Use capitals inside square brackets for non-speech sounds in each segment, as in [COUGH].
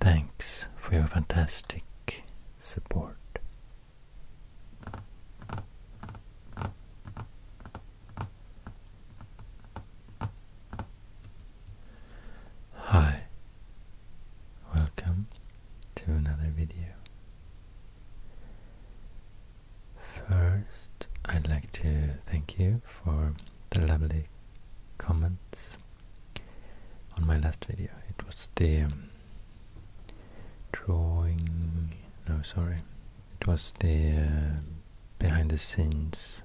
Thanks for your fantastic support. Hi, welcome to another video. First, I'd like to thank you for the lovely comments on my last video. It was the um, drawing, no sorry, it was the uh, behind the scenes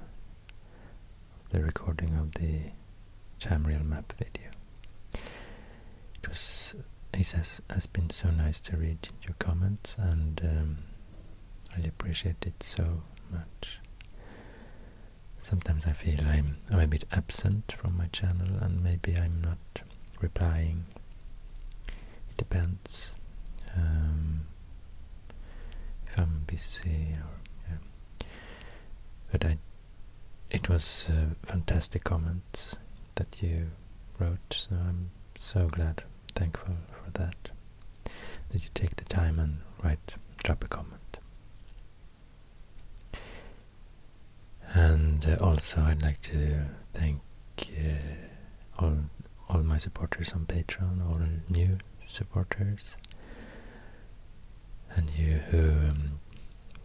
the recording of the Jamreal map video. It was, it has, has been so nice to read your comments and um, I appreciate it so much sometimes I feel I'm, a bit absent from my channel and maybe I'm not replying. It depends um, if I'm busy or But I, it was uh, fantastic comments that you wrote, so I'm so glad, thankful for that. That you take the time and write, drop a comment. And uh, also, I'd like to thank uh, all all my supporters on Patreon, all new supporters, and you who um,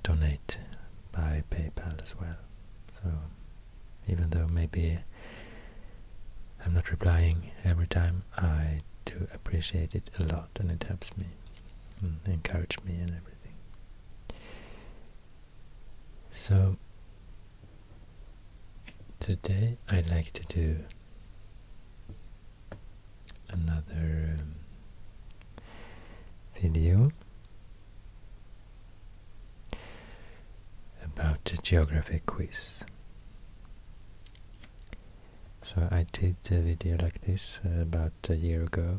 donate by PayPal as well. So, even though maybe I'm not replying every time, I do appreciate it a lot and it helps me and encourage me and everything. So today I'd like to do another um, video about the geography quiz. So I did a video like this uh, about a year ago.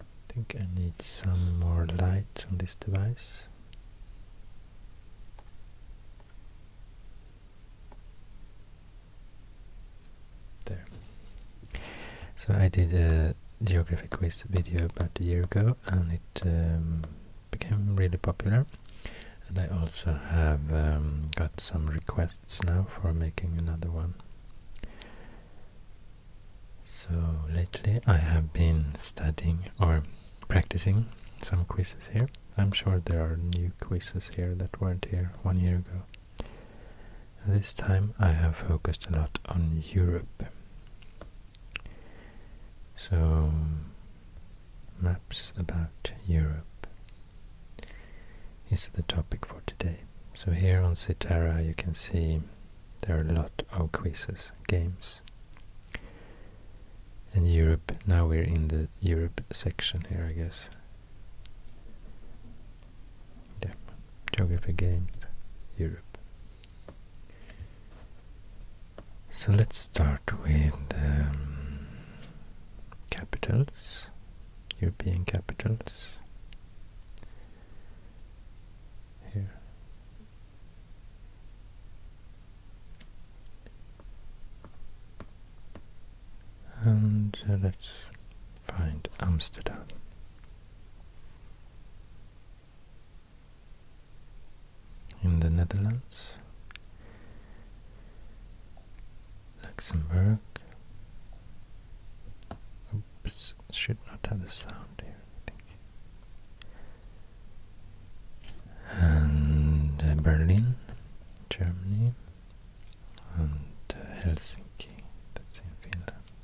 I think I need some more light on this device. There. So I did a geography quiz video about a year ago and it um, became really popular. And I also have um, got some requests now for making another one. So lately I have been studying or practicing some quizzes here. I'm sure there are new quizzes here that weren't here one year ago. This time I have focused a lot on Europe. So, maps about Europe is the topic for today. So here on Citara you can see there are a lot of quizzes, games. And Europe, now we're in the Europe section here, I guess. Yeah, geography games, Europe. So let's start with um, capitals. European capitals here. And uh, let's find Amsterdam. In the Netherlands, Luxembourg. should not have the sound here, And uh, Berlin, Germany, and uh, Helsinki, that's in Finland.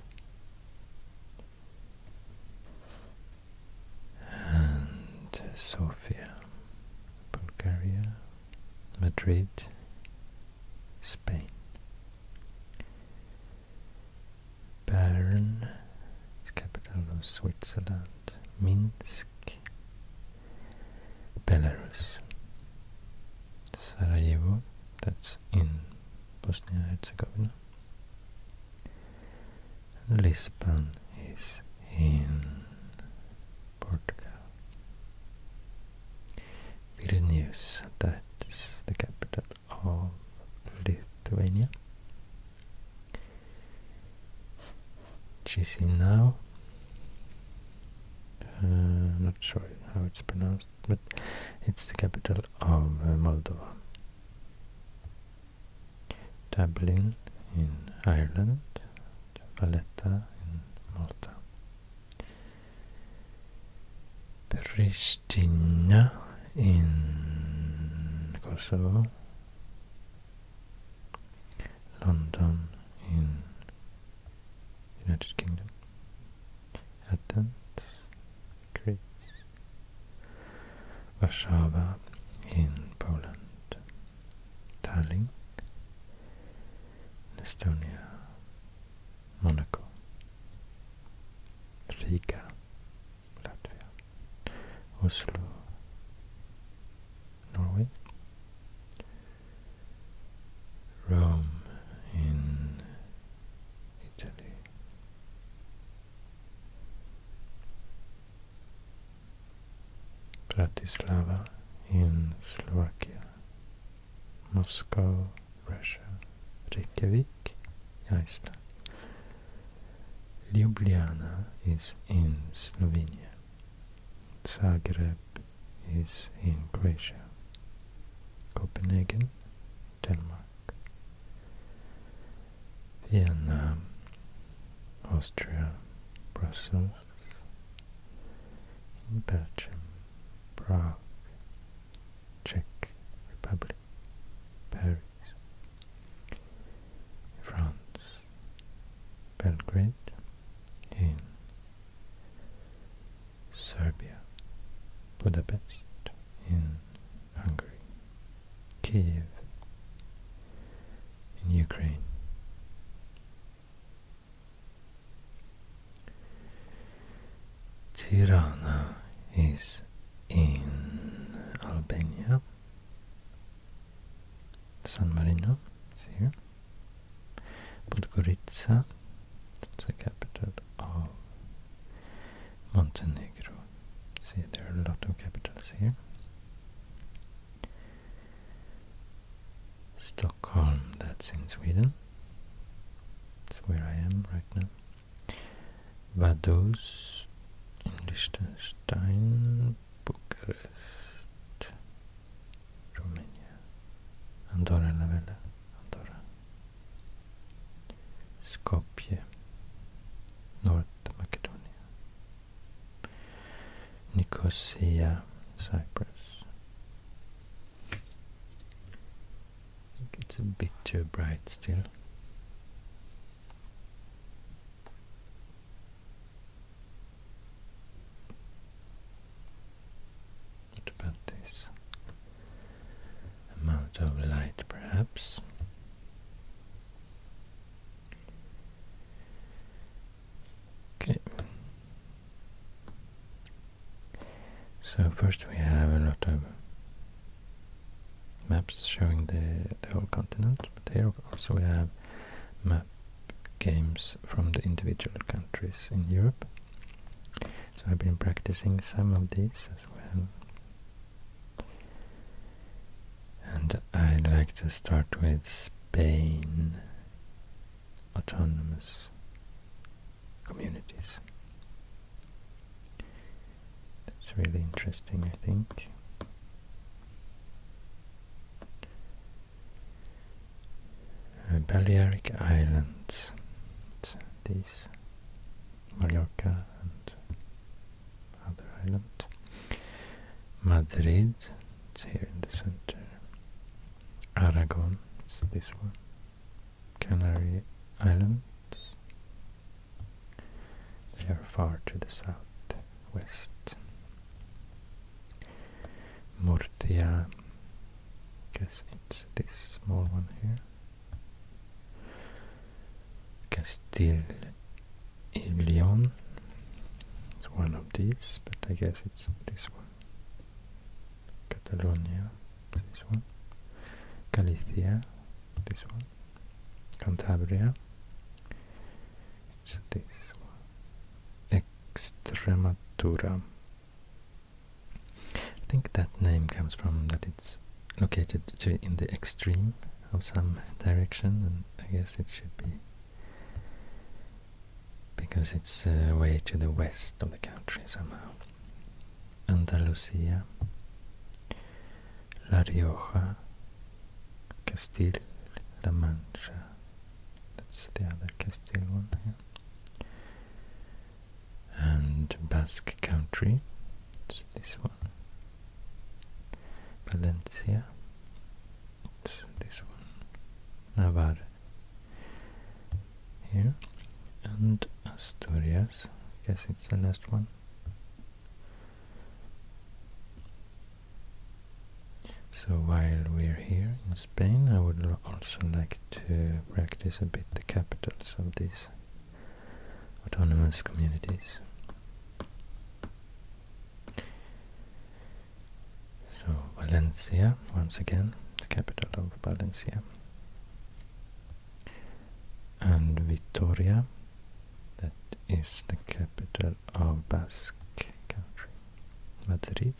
And uh, Sofia, Bulgaria. Madrid, Spain. Bern is capital of Switzerland. Minsk, Belarus. Sarajevo, that's in Bosnia Herzegovina. Lisbon is in Portugal. Vilnius, that's the capital of Lithuania. Chisinau, uh, not sure how it's pronounced, but it's the capital of uh, Moldova. Dublin in Ireland, Valletta in Malta. Pristina in Kosovo, London in United Kingdom, Athens, Greece, Warszawa in Poland, Tallinn Estonia, Monaco, Riga, Latvia, Oslo, Norway, Rome in Italy. Bratislava in Slovakia, Moscow, Russia, Reykjavik, Iceland. Ljubljana is in Slovenia. Zagreb is in Croatia. Copenhagen, Denmark. Vienna, Austria, Brussels, in Belgium, Prague, Czech Republic, Paris, France, Belgrade, in Serbia, Budapest, in Hungary, Kiev, in Ukraine, Tirana is in Albania. San Marino is here. Podgorica, that's the capital of Montenegro. See, there are a lot of capitals here. Stockholm, that's in Sweden. That's where I am right now. Vaduz in Liechtenstein, Bucharest, Romania, Andorra la Vella, Andorra, Skopje, North Macedonia, Nicosia, Cyprus, it's a bit too bright still. What about this amount of light, perhaps? Okay. So first we have a lot of maps showing the, the whole continent, but here also we have map games from the individual countries in Europe. So I've been practicing some of these as well. And I'd like to start with Spain autonomous communities. That's really interesting, I think. Uh, Balearic Islands, This, Mallorca and other island. Madrid, here in the center. Aragon, it's this one, Canary Islands, they are far to the southwest. Murcia, guess it's this small one here. Castile and Leon, it's one of these, but I guess it's this one. Catalonia, this one, Galicia, this one, Cantabria, it's this one, Extremadura. I think that name comes from that it's located in the extreme of some direction, and I guess it should be because it's uh, way to the west of the country somehow. Andalusia, La Rioja, Castile, La Mancha. That's the other Castile one here. And Basque Country. It's this one. Valencia. It's this one. Navarre here and Asturias, I guess it's the last one. So while we're here in Spain, I would also like to practice a bit the capitals of these autonomous communities. So Valencia, once again, the capital of Valencia. And Vitoria, that is the capital of Basque country. Madrid,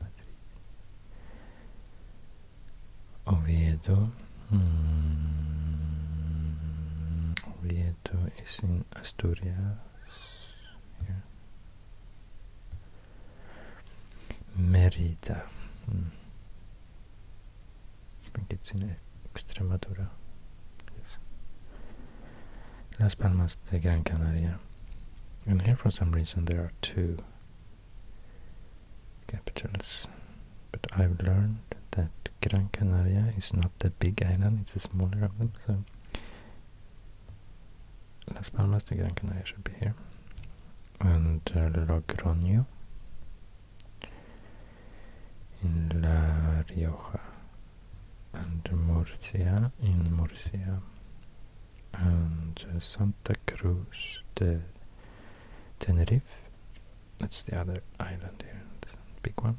Madrid. Oviedo, hmm, Oviedo is in Asturias. Merida. Hmm. I think it's in Extremadura. Las Palmas de Gran Canaria. And here for some reason there are two capitals. But I've learned that Gran Canaria is not the big island, it's the smaller of them, so Las Palmas de Gran Canaria should be here. And uh, Logroño in La Rioja. And Murcia in Murcia. And uh, Santa Cruz de Tenerife. That's the other island here, big one.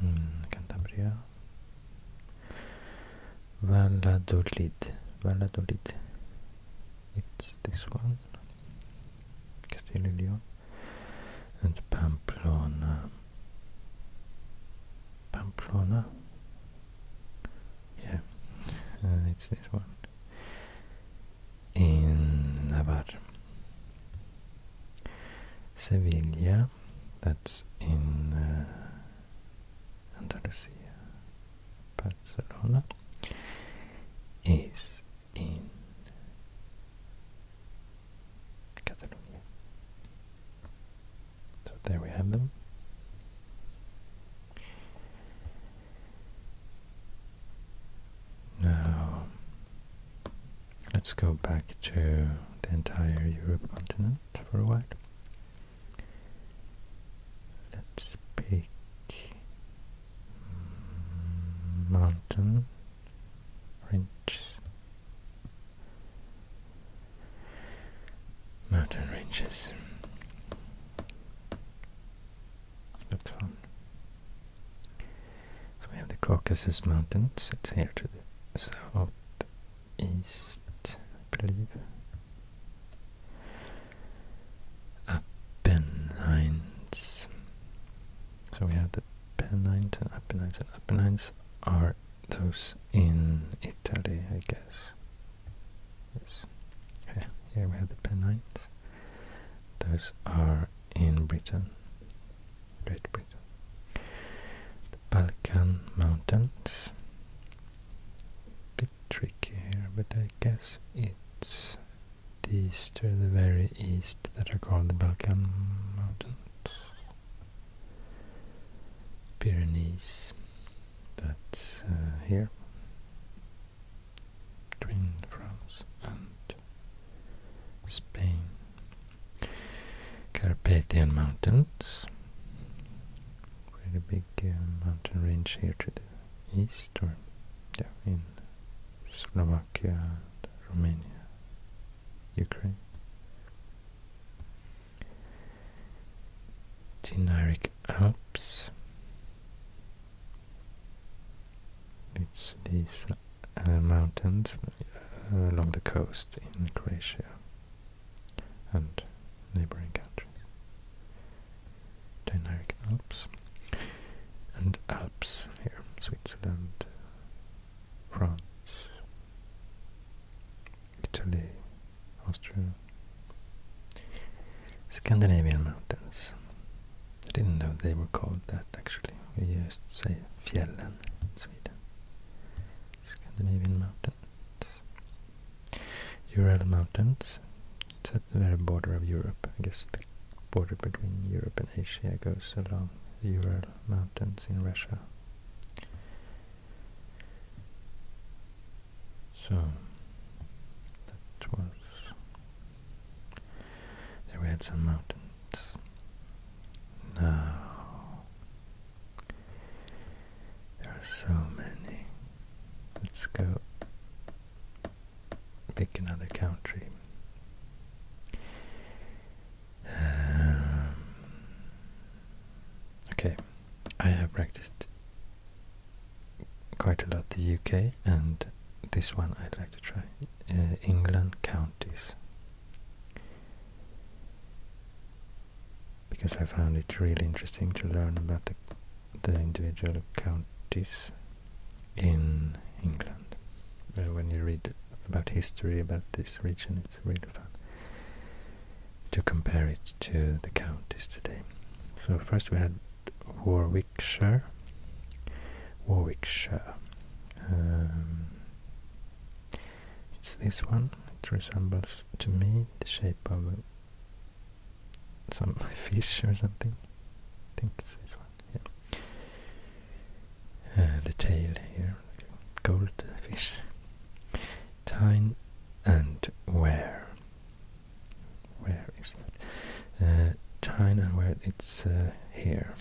Hmm, Cantabria, Valladolid, Valladolid, it's this one, Castile León, and Pamplona, Pamplona, yeah, uh, it's this one, in Navarre, Sevilla, that's in uh, Andalusia. Barcelona is in Catalonia. So there we have them. Now Let's go back to the entire Europe continent for a while. Let's pick mountain ranges. Mountain ranges. That's fun. So we have the Caucasus Mountains. It's here to the south east, I Apennines. So we have the Pennines and Apennines, and Apennines are those in Italy, I guess. Yes. here we have the Pennines. Those are in Britain. Great Britain. The Balkan Mountains. A bit tricky here, but I guess it's east to the very east that are called the Balkan Mountains. Pyrenees, that's uh, here between France and Spain. Carpathian Mountains. Pretty big um, mountain range here to the east, or yeah, in Slovakia, and Romania, Ukraine. Dinaric Alps. It's these uh, mountains uh, along the coast in Croatia and neighbouring countries. Dinaric Alps and Alps here, Switzerland, France, Italy, Austria, Scandinavian mountains. I didn't know they were called that actually. We used to say fjällen Sweden. Scandinavian mountains. Ural Mountains. It's at the very border of Europe. I guess the border between Europe and Asia goes along the Ural Mountains in Russia. So that was there we had some mountains. Now there are so many. Let's go pick another country. Um, okay, I have practiced quite a lot the UK, and this one I'd like to try uh, England counties because I found it really interesting to learn about the, the individual counties in England. when you read about history about this region, it's really fun to compare it to the counties today. So first we had Warwickshire, Warwickshire, um, it's this one. It resembles to me the shape of uh, some [LAUGHS] fish or something. I think it's this one. Uh, the tail here, gold fish. Time and where? Where is that? Uh, Tine and where? It's uh, here.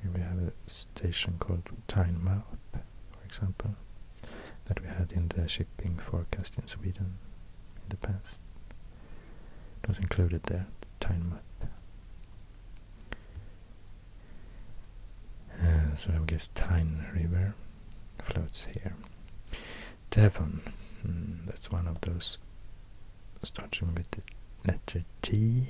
Here we have a station called Tine Mouth for example, that we had in the shipping forecast in Sweden in the past. It was included there, the uh, so I guess Tyne River floats here. Devon, hmm, that's one of those starting with the letter T.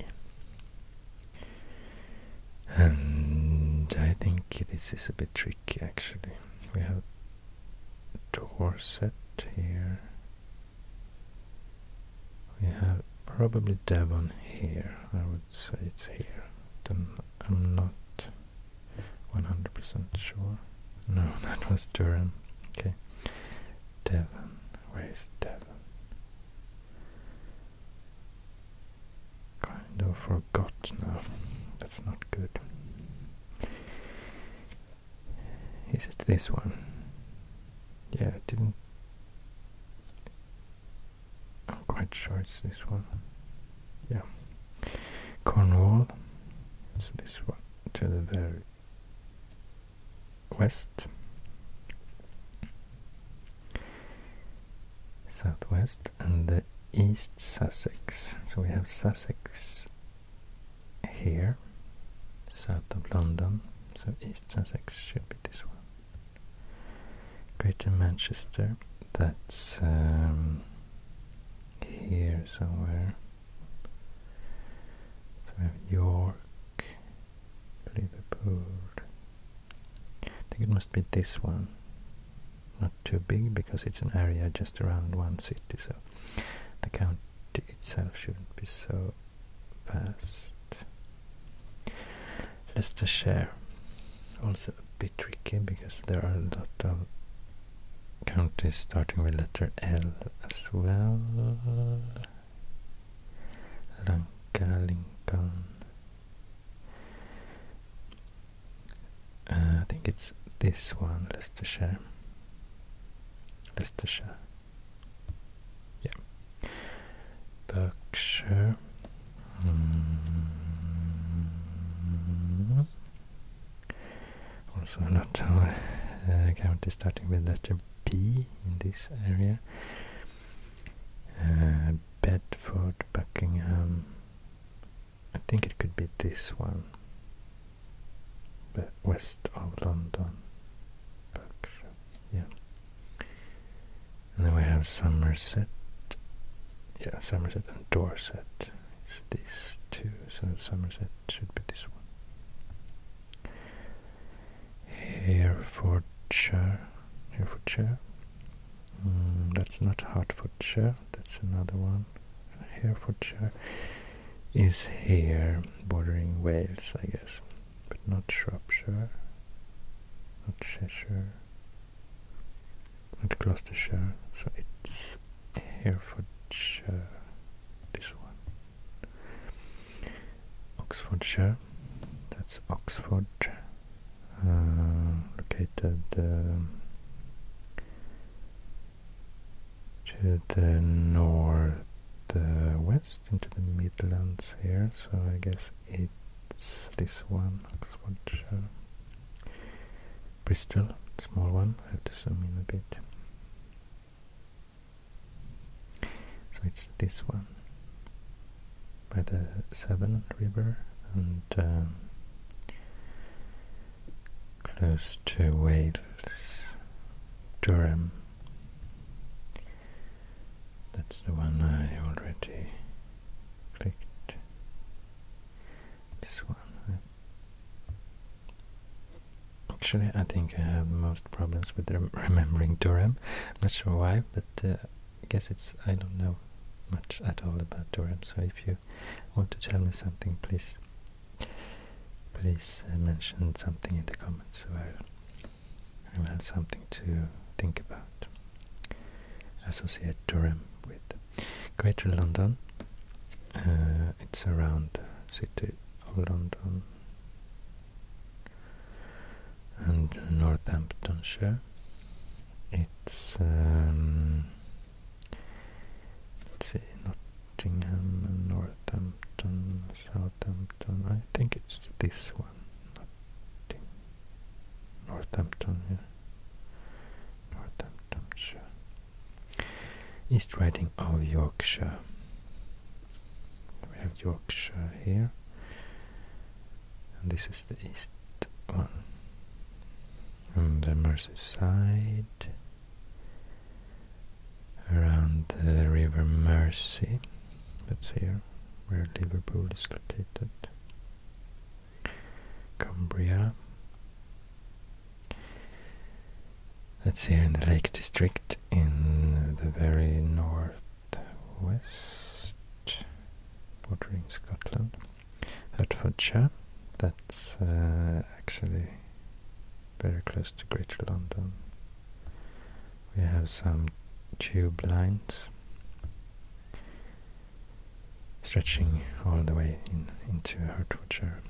And I think this is a bit tricky actually. We have Dorset here. We have probably Devon here. I would say it's here. I'm not 100% sure. No, [LAUGHS] that was Durham. Okay. Devon. Where is Devon? Kind of forgot now. That's not good. Is it this one? Yeah, I didn't. I'm quite sure it's this one. Yeah. Cornwall. It's this one to the very west. Southwest and the East Sussex. So we have Sussex here, south of London. So East Sussex should be this one. Greater Manchester, that's um, here somewhere. So we have York, Liverpool. I think it must be this one not too big because it's an area just around one city, so the county itself shouldn't be so vast. Leicestershire, also a bit tricky because there are a lot of counties starting with letter L as well. Lanka, uh, I think it's this one, Leicestershire. Leicestershire. Yeah. Berkshire. Hmm. Also a lot of counties starting with letter P in this area. Uh, Bedford, Buckingham. I think it could be this one. But west of London. Yeah. And then we have Somerset. Yeah, Somerset and Dorset. It's these two, so Somerset should be this one. Herefordshire. Herefordshire. Mm, that's not Hertfordshire, that's another one. Herefordshire is here, bordering Wales, I guess, but not Shropshire, not Cheshire, not Gloucestershire, so it's Herefordshire, this one. Oxfordshire, that's Oxford uh, located um, to the north uh, west into the Midlands here, so I guess it's this one, Oxfordshire. Bristol, small one, I have to zoom in a bit. So it's this one by the Severn River and um, close to Wales, Durham. That's the one I already clicked. This one. Actually, I think I have most problems with [LAUGHS] remembering Durham. not sure why, but uh, I guess it's I don't know much at all about Durham, so if you want to tell me something, please please uh, mention something in the comments so I will have something to think about. Associate Durham with Greater London. Uh, it's around the city of London and Northamptonshire. It's um, see, Nottingham, Northampton, Southampton. I think it's this one. Northampton, Northamptonshire. East Riding of Yorkshire. We have Yorkshire here and this is the east one. On the Merseyside, around the River Mersey, that's here, where Liverpool is located. Cumbria, that's here in the Lake District, in the very northwest, bordering Scotland. Hertfordshire. That's uh, actually very close to Greater London. We have some tube lines stretching all the way into Hertfordshire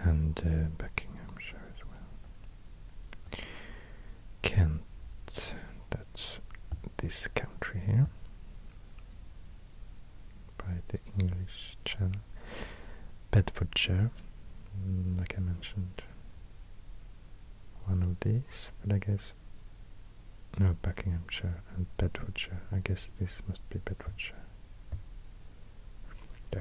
and uh, Buckinghamshire as well. Kent, that's this country here, by the English Channel. Bedfordshire, mm, like I mentioned, one of these, but I guess no Buckinghamshire and Bedfordshire. I guess this must be Bedfordshire. Yeah.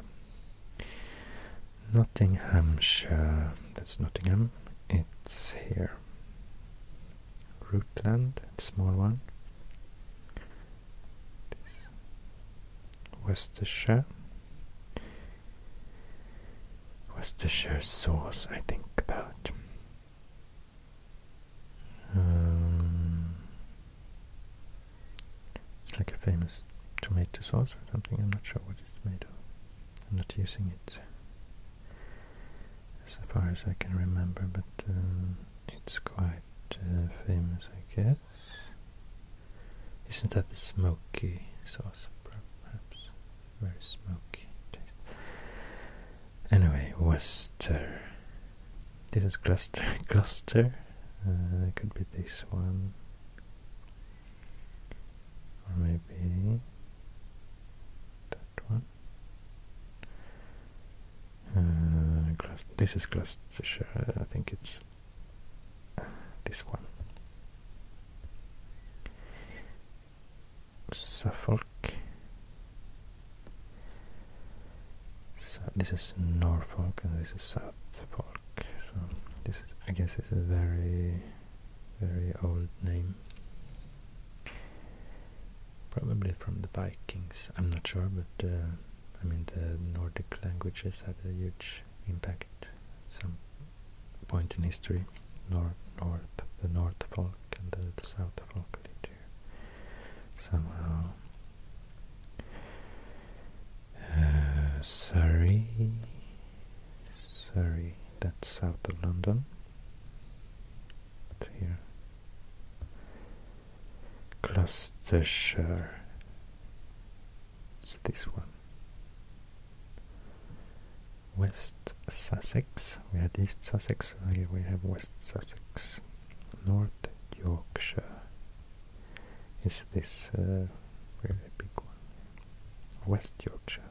Nottinghamshire. That's Nottingham. It's here here. Rootland, small one. Worcestershire. Worcestershire sauce, I think about. Um, like a famous tomato sauce or something, I'm not sure what it's made of. I'm not using it as far as I can remember, but uh, it's quite uh, famous, I guess. Isn't that the smoky sauce, perhaps? Very smoky Anyway, Worcester. This is cluster [LAUGHS] Gloucester. Uh, could be this one. Or maybe that one. Uh, this is Gloucestershire, I think it's this one. Suffolk. So this is Norfolk and this is Suffolk. So this is, I guess, this is very very old name. Probably from the Vikings, I'm not sure, but uh, I mean the Nordic languages had a huge impact at some point in history. North, north, the North folk and the, the South folk lived here somehow. Uh, Surrey, Surrey, that's south of London here. Gloucestershire. It's this one. West Sussex. We had East Sussex. Here oh, we have West Sussex. North Yorkshire. Is this uh, really big one? West Yorkshire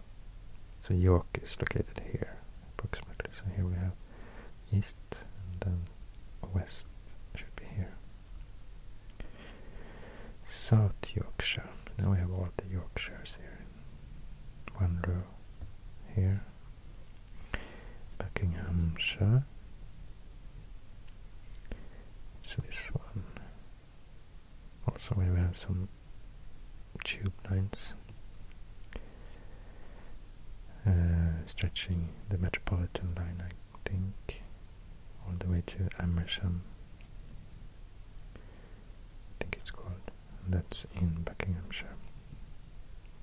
so York is located here approximately. So here we have east and then west should be here. South Yorkshire. Now we have all the Yorkshires here in one row here. Buckinghamshire. So this one. Also we have some tube lines uh, stretching the Metropolitan line, I think, all the way to Amersham. I think it's called. That's in Buckinghamshire.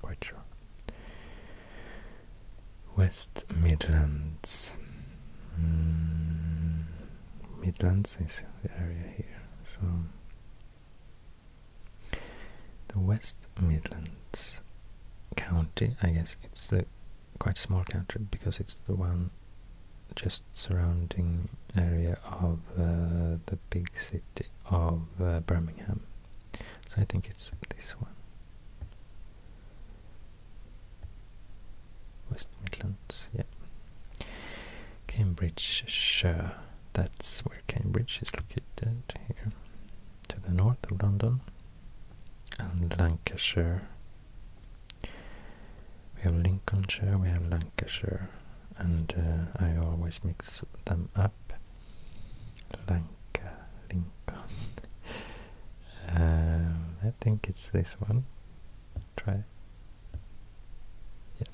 Quite sure. West Midlands. Mm, Midlands is the area here, so the West Midlands county, I guess it's the quite small county because it's the one just surrounding area of uh, the big city of uh, Birmingham. So I think it's this one. West Midlands, yeah. Cambridgeshire, that's where Cambridge is located here, to the north of London. And Lancashire, we have Lincolnshire, we have Lancashire, and uh, I always mix them up. Lanka, Lincoln. [LAUGHS] Um, I think it's this one. Try. Yeah.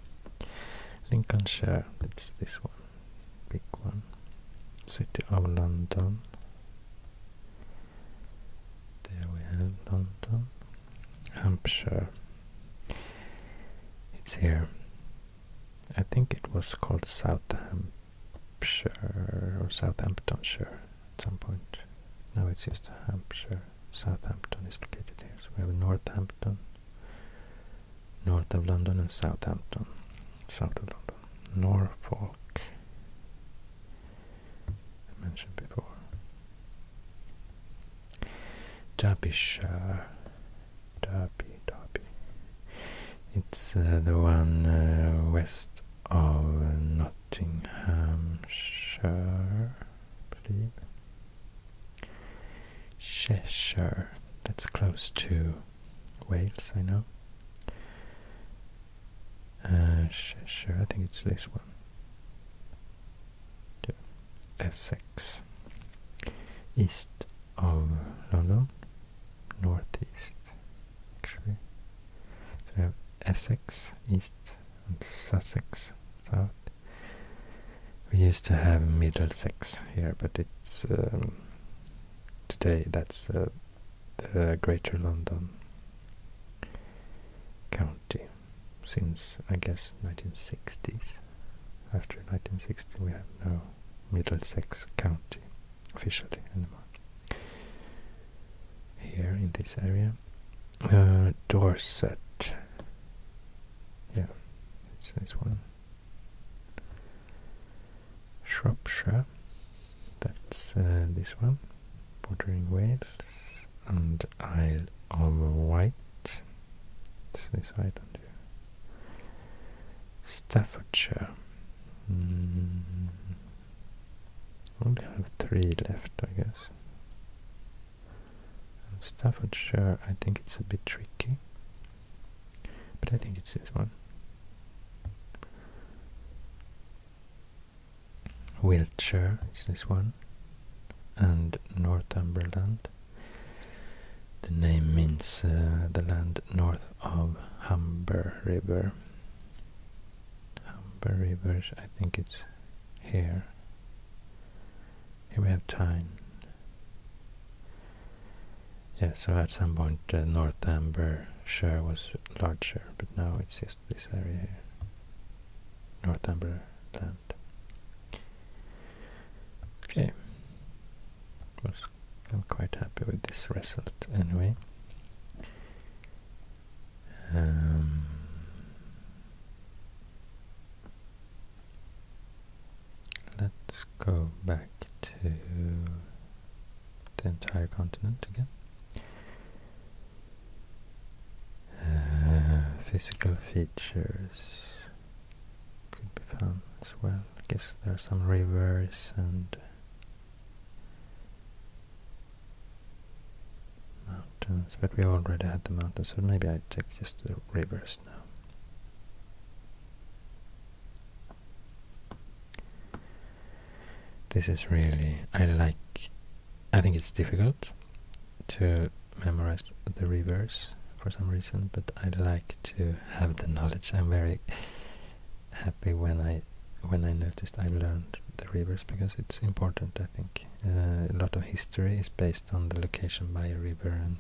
Lincolnshire, that's this one, big one. City of London. There we have London. Hampshire. It's here. I think it was called South Hampshire or Southamptonshire at some point. Now it's just Hampshire. Southampton is located here. So we have Northampton, north of London and Southampton, south of London, Norfolk, mentioned before, Derbyshire, Derby, Derby, it's uh, the one uh, west of Nottinghamshire, I believe. Cheshire, that's close to Wales, I know. Uh, I think it's this one. Yeah. Essex, east of London, northeast actually. So we have Essex, east, and Sussex, south. We used to have Middlesex here, but it's um, today that's uh, the Greater London county since I guess 1960s. After 1960, we have no Middlesex county officially anymore. Here in this area, uh, Dorset. Yeah, it's this one. Shropshire, that's uh, this one, bordering Wales, and Isle of Wight, it's this island here. Staffordshire. Mm. Only have three left, I guess. Staffordshire, I think it's a bit tricky, but I think it's this one. Wiltshire is this one, and Northumberland. The name means uh, the land north of Humber River. Humber River, I think it's here. Here we have Tyne. Yeah, so at some point Northumberland uh, Northambershire was larger, but now it's just this area here, Northumberland. Okay, was, I'm quite happy with this result anyway. Um, Let's go back to the entire continent again. Uh, physical features could be found as well. I guess there are some rivers and mountains, but we already had the mountains, so maybe I take just the rivers this is really, I like, I think it's difficult to memorize the rivers for some reason, but I like to have the knowledge. I'm very happy when I when I noticed I learned the rivers because it's important. I think uh, a lot of history is based on the location by a river and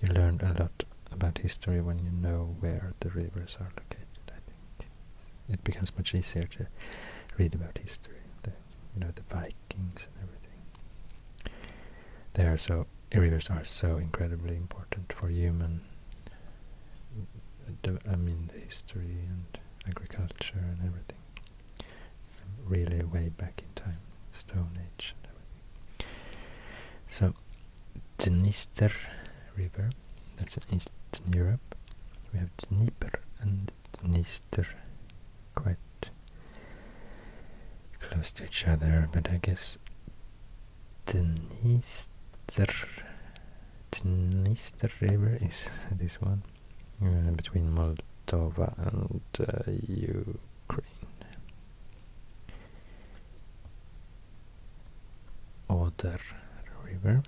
you learn a lot about history when you know where the rivers are located. I think it becomes much easier to read about history, the you know the Vikings and everything. They are so rivers are so incredibly important for human. I mean the history and agriculture and everything. Really, way back in time, Stone Age. So, the So, River, that's in Eastern Europe. We have Dnieper and Dniester quite close to each other, but I guess the Dniester River is [LAUGHS] this one uh, between Moldova and uh, Ukraine. Oder River.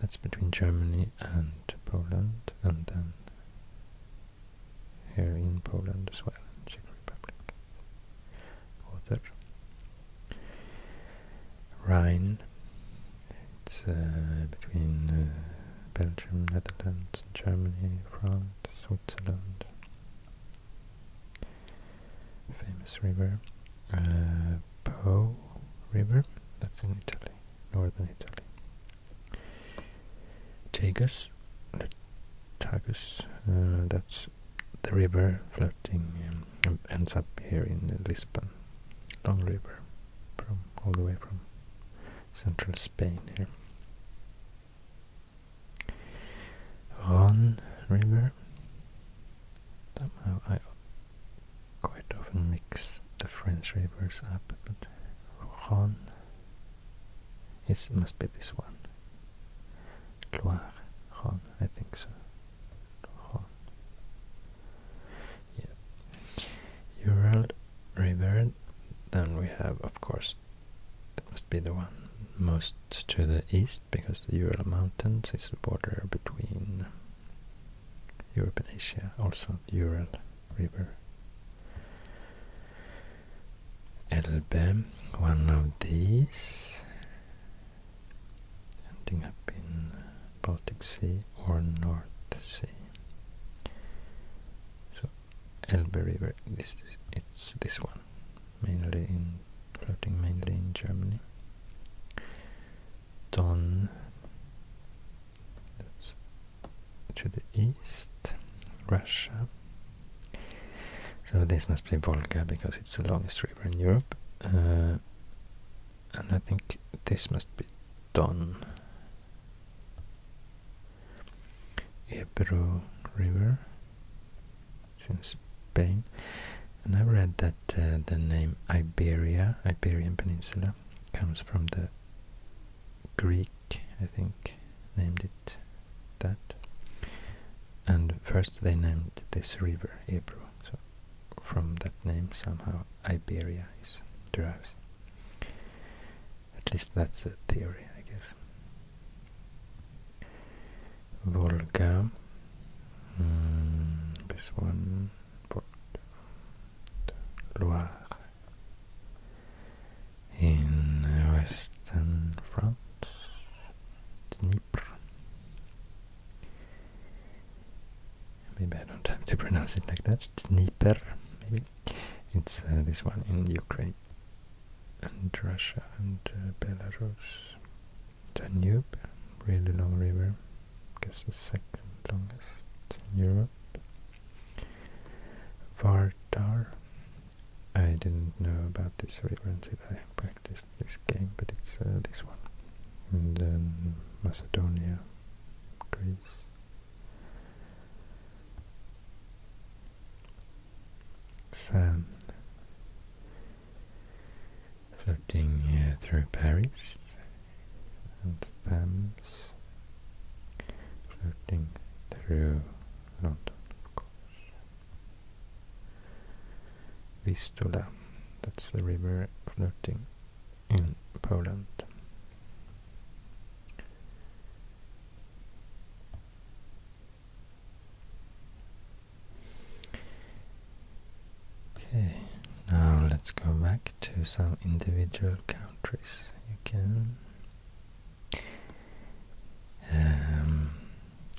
That's between Germany and Poland, and then here in Poland as well, Czech Republic. Oder Rhine. It's uh, between uh, Belgium, Netherlands, Germany, France, Switzerland. Famous river. Uh, po River, that's in Italy, northern Italy. Tagus, Tagus, uh, that's the river floating, um, ends up here in Lisbon. Long river, from all the way from central Spain here. Ron River. Somehow I quite often mix the French rivers up, but Ron. It must be this one. Loire, Ron, I think so. Ron. Yeah. Ural River. Then we have, of course, must be the one most to the east because the Ural Mountains is the border between Europe and Asia, also Ural River. Elbe, one of these, ending up in Baltic Sea or North Sea. Elbe River. This it's this one, mainly in floating mainly in Germany. Don. to the east, Russia. So this must be Volga because it's the longest river in Europe, uh, and I think this must be Don. Ebro River it's in Spain and I read that uh, the name Iberia, Iberian Peninsula comes from the Greek, I think, named it that and first they named this river Ebro so from that name somehow Iberia is derived at least that's a theory, I guess. Volga. Hmm, this one. Loire. In western France. Dnieper. Maybe I don't have to [LAUGHS] pronounce it like that. Dnieper, maybe. It's uh, this one in Ukraine and Russia and uh, Belarus. Danube, really long river, I guess the second longest in Europe. Vardar, I didn't know about this river until I practiced this game, but it's uh, this one. And then Macedonia, Greece. Sun floating uh, through Paris and Thames floating through London, Vistula, that's the river floating in Poland. Okay, now let's go back to some individual countries. You can um,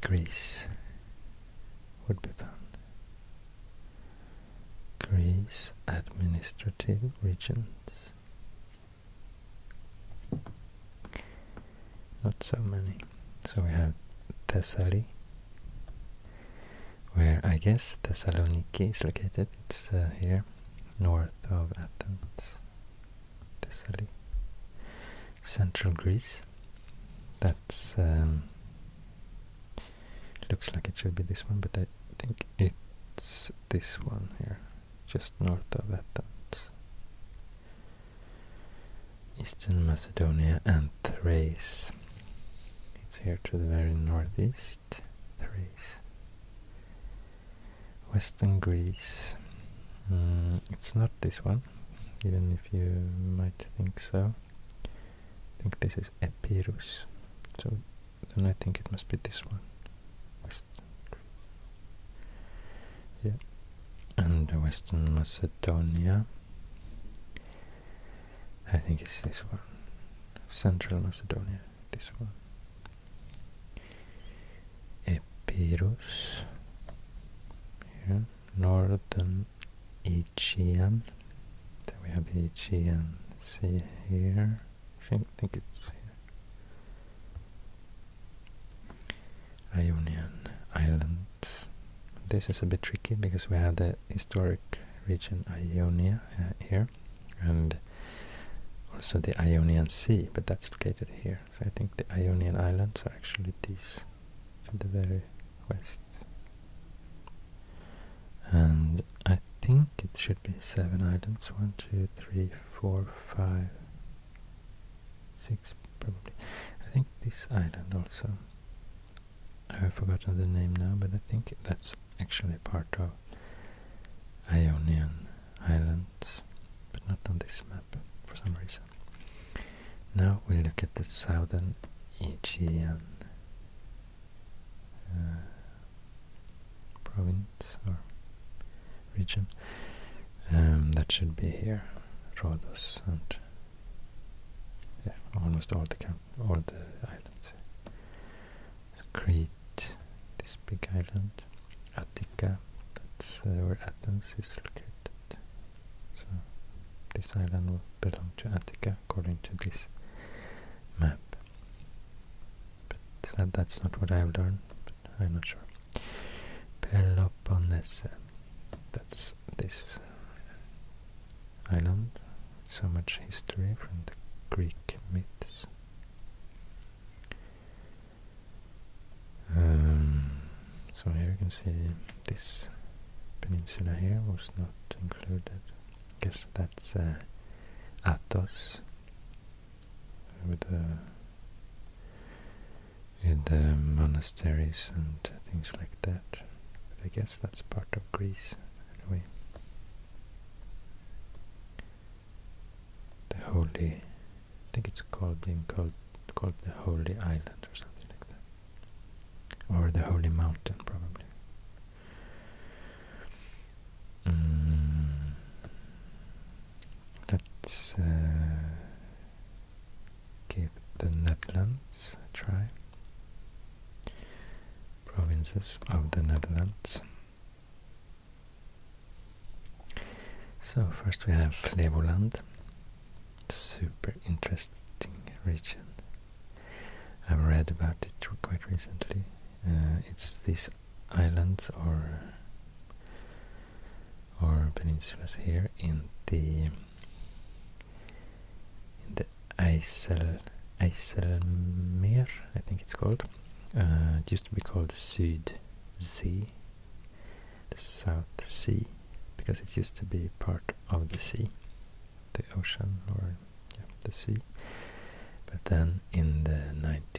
Greece would be fun. Greece administrative regions not so many. So we have Thessaly, where I guess Thessaloniki is located. It's uh, here, north of Athens. Thessaly. Central Greece. That's um, looks like it should be this one, but I think it's this one here just north of Athens. Eastern Macedonia and Thrace. It's here to the very northeast, Thrace. Western Greece. Mm, it's not this one, even if you might think so. I think this is Epirus. So and I think it must be this one yeah, and Western Macedonia. I think it's this one, Central Macedonia. This one, Epirus. Here, Northern Aegean. Then we have the Aegean here. I think, think it's here. Ionian Islands. This is a bit tricky because we have the historic region Ionia uh, here and also the Ionian Sea, but that's located here. So I think the Ionian Islands are actually these at the very west. And I think it should be seven islands. One, two, three, four, five, six probably. I think this island also. I've forgotten the name now, but I think that's actually part of Ionian Islands, but not on this map for some reason. Now we look at the southern Aegean uh, province region. Um, that should be here, Rhodos and yeah, almost all the all the islands. Crete, this big island, Attica, that's uh, where Athens is located. So this island will belong to Attica according to this map. But uh, that's not what I've learned, I'm not sure. Peloponnese. Uh, that's this island. So much history from the Greek myths. Um, so here you can see this peninsula here was not included. Guess that's uh, Athos with the uh, in the monasteries and things like that. But I guess that's part of Greece anyway. The holy, I think it's called being called called the holy island or something like that, or the holy mountain probably. Mm. Let's uh, give the Netherlands a try. Provinces of the Netherlands. So first we have Flevoland, super interesting region. I've read about it quite recently. Uh, it's these islands or or peninsulas here in the in the Eisel Eiselmeer, I think it's called. Uh, it used to be called Südsee, the South Sea, because it used to be part of the sea, the ocean or the sea. But then in the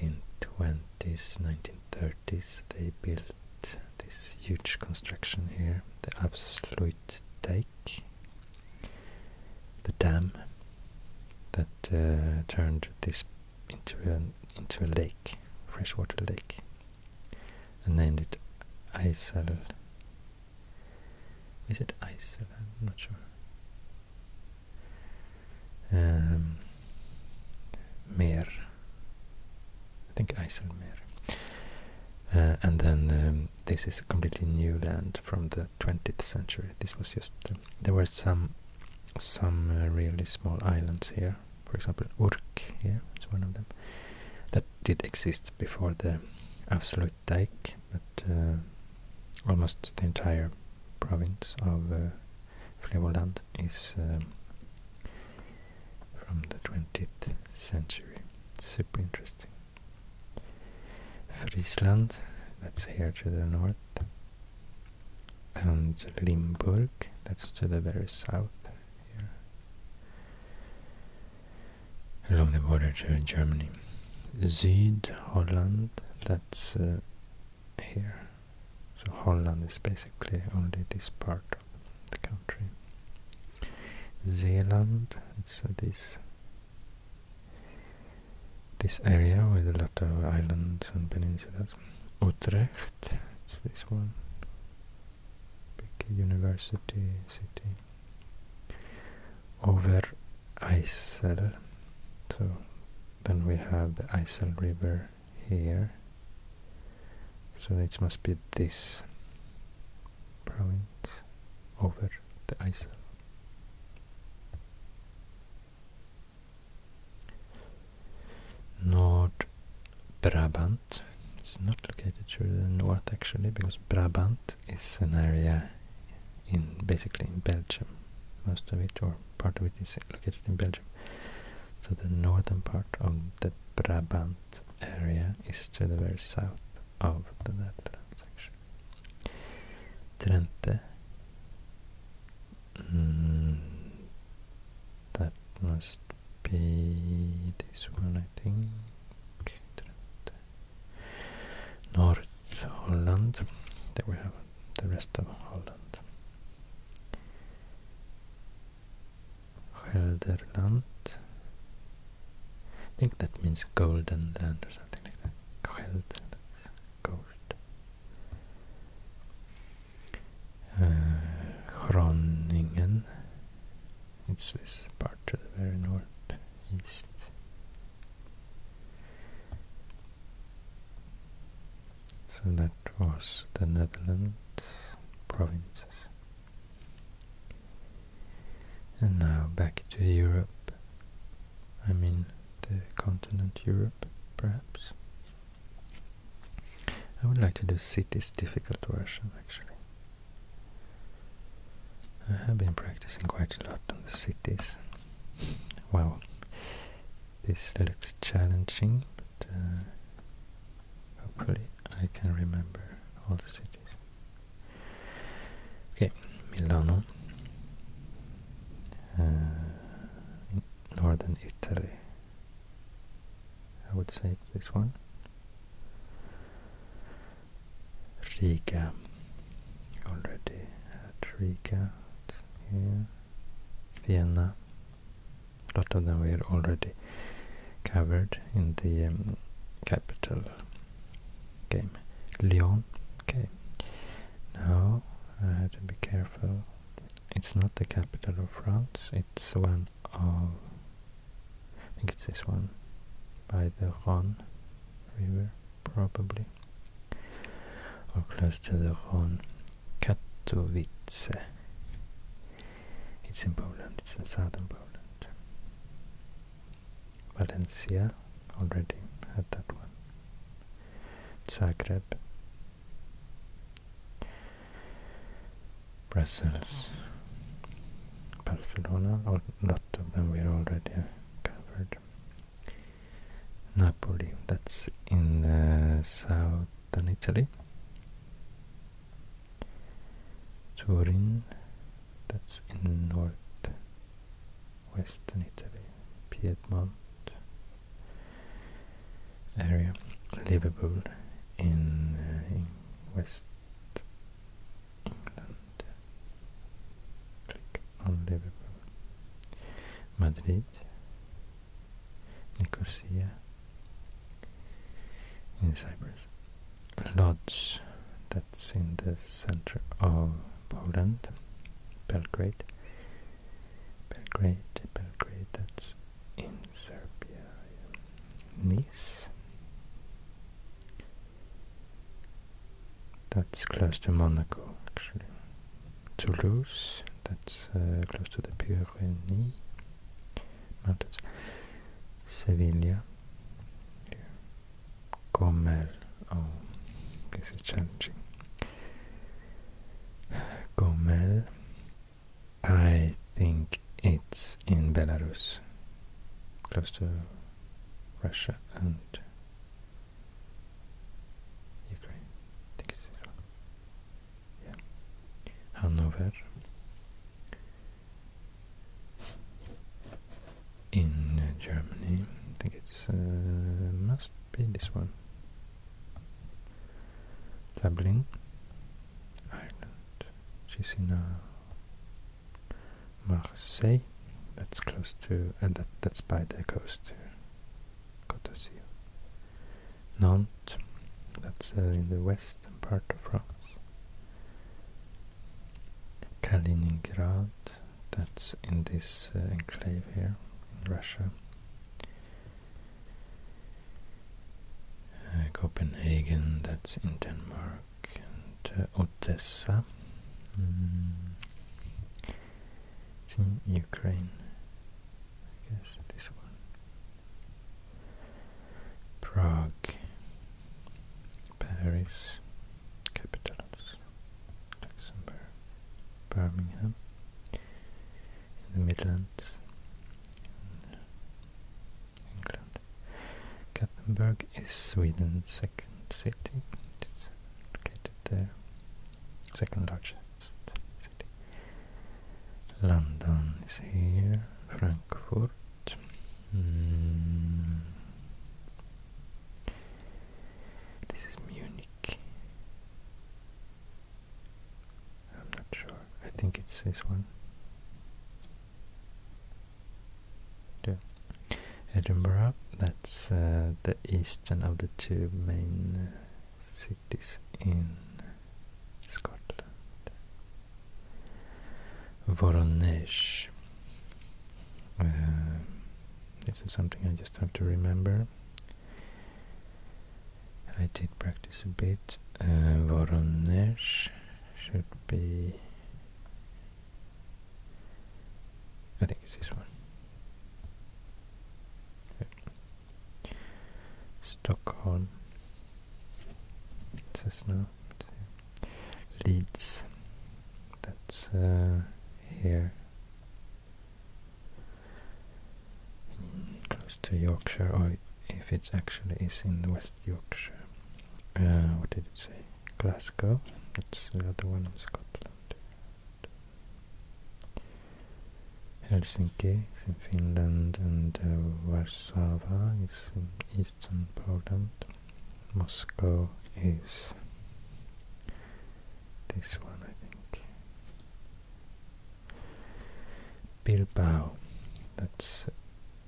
1920s, 1930s, this they built this huge construction here, the Absolutdijk, the dam that uh, turned this into an into a lake, freshwater lake, and named it IJssel. Is it IJssel? I'm not sure. Um, I think Eiselmeer. Uh, and then um, this is a completely new land from the 20th century. This was just uh, there were some some uh, really small islands here. For example, Urk here is one of them that did exist before the absolute dike, but almost the entire province of Flevoland is um, from the 20th century. Super interesting. Friesland, that's here to the north. And Limburg, that's to the very south here. Along the border to Germany. Zuid, Holland, that's uh, here. So Holland is basically only this part part the country. Zealand, it's uh, this this area with a lot of islands and peninsulas. Utrecht, it's this one, big university city. Over Isel, so then we have the Isel River here so it must be this province over the island Nord Brabant it's not located further north actually because Brabant is an area in basically in Belgium most of it or part of it is located in Belgium so the northern part of the Brabant area is to the very south of the Netherlands actually. Mm, that must be this one I think. North Holland. There we have the rest of Holland. Skälderland. I think that means golden land or something like that. Skälder, that's uh, Groningen. it's this part to the very north east. So that Across the Netherlands provinces. And now back to Europe, I mean the continent Europe, perhaps. I would like to do cities difficult version actually. I have been practicing quite a lot on the cities. Wow, this looks challenging, uh, hopefully I can remember all the cities. Okay, Milano, uh, northern Italy. I would say this one. Riga, already at Riga here. Vienna, a lot of them were already covered in the um, capital game. Lyon. Okay. Now I had to be careful. It's not the capital of France. It's one of. I think it's this one by the Rhone River, probably, or close to the Rhone. Katowice. It's in Poland, it's in southern Poland. Valencia, already had that one. Zagreb. Brussels. Barcelona, a lot of them we're already covered. Napoli, that's in uh, southern Italy. Turin, that's in northwestern Italy, Piedmont area, Liverpool in, uh, in west England, click on Liverpool, Madrid Nicosia in Cyprus. Lodz, that's in the center of Poland, Belgrade. Belgrade, Belgrade, that's in Serbia. Nice. That's close to Monaco, actually. Toulouse, that's uh, close to the Pyrenees mountains. Sevilla Gomel. Oh, this is changing. Gomel. I think it's in Belarus, close to Russia and Ukraine. think it's Hanover in uh, Germany. I think it uh, must be this one. Dublin, Ireland. She's in uh, Marseille. That's close to, and that that's by the coast. Côte d'Azur. Nantes. That's uh, in the western part of France. Kaliningrad, that's in this uh, enclave here in Russia. Uh, Copenhagen, that's in Denmark, and Odessa, mm. it's in Ukraine, I guess this one. Prague, Paris, capitals, Luxembourg, Birmingham, in the Midlands, England. Gothenburg is Sweden's second city, it's located there, second largest London is here, Frankfurt. Mm. This is Munich. I'm not sure. I think it says one. Yeah. Edinburgh, that's uh, the eastern of the two main cities in Scotland. Voronesh. Uh, this is something I just have to remember. I did practice a bit. Uh, Voronesh should be... I think it's this one. Stockholm, it says no, Leeds, that's uh, here, close to Yorkshire, or oh, if it actually is in West Yorkshire. Uh, what did it say? Glasgow, that's the other one in Scotland. Helsinki is in Finland and uh, Warsaw is in um, eastern Poland. Moscow is this one, I think. Bilbao, that's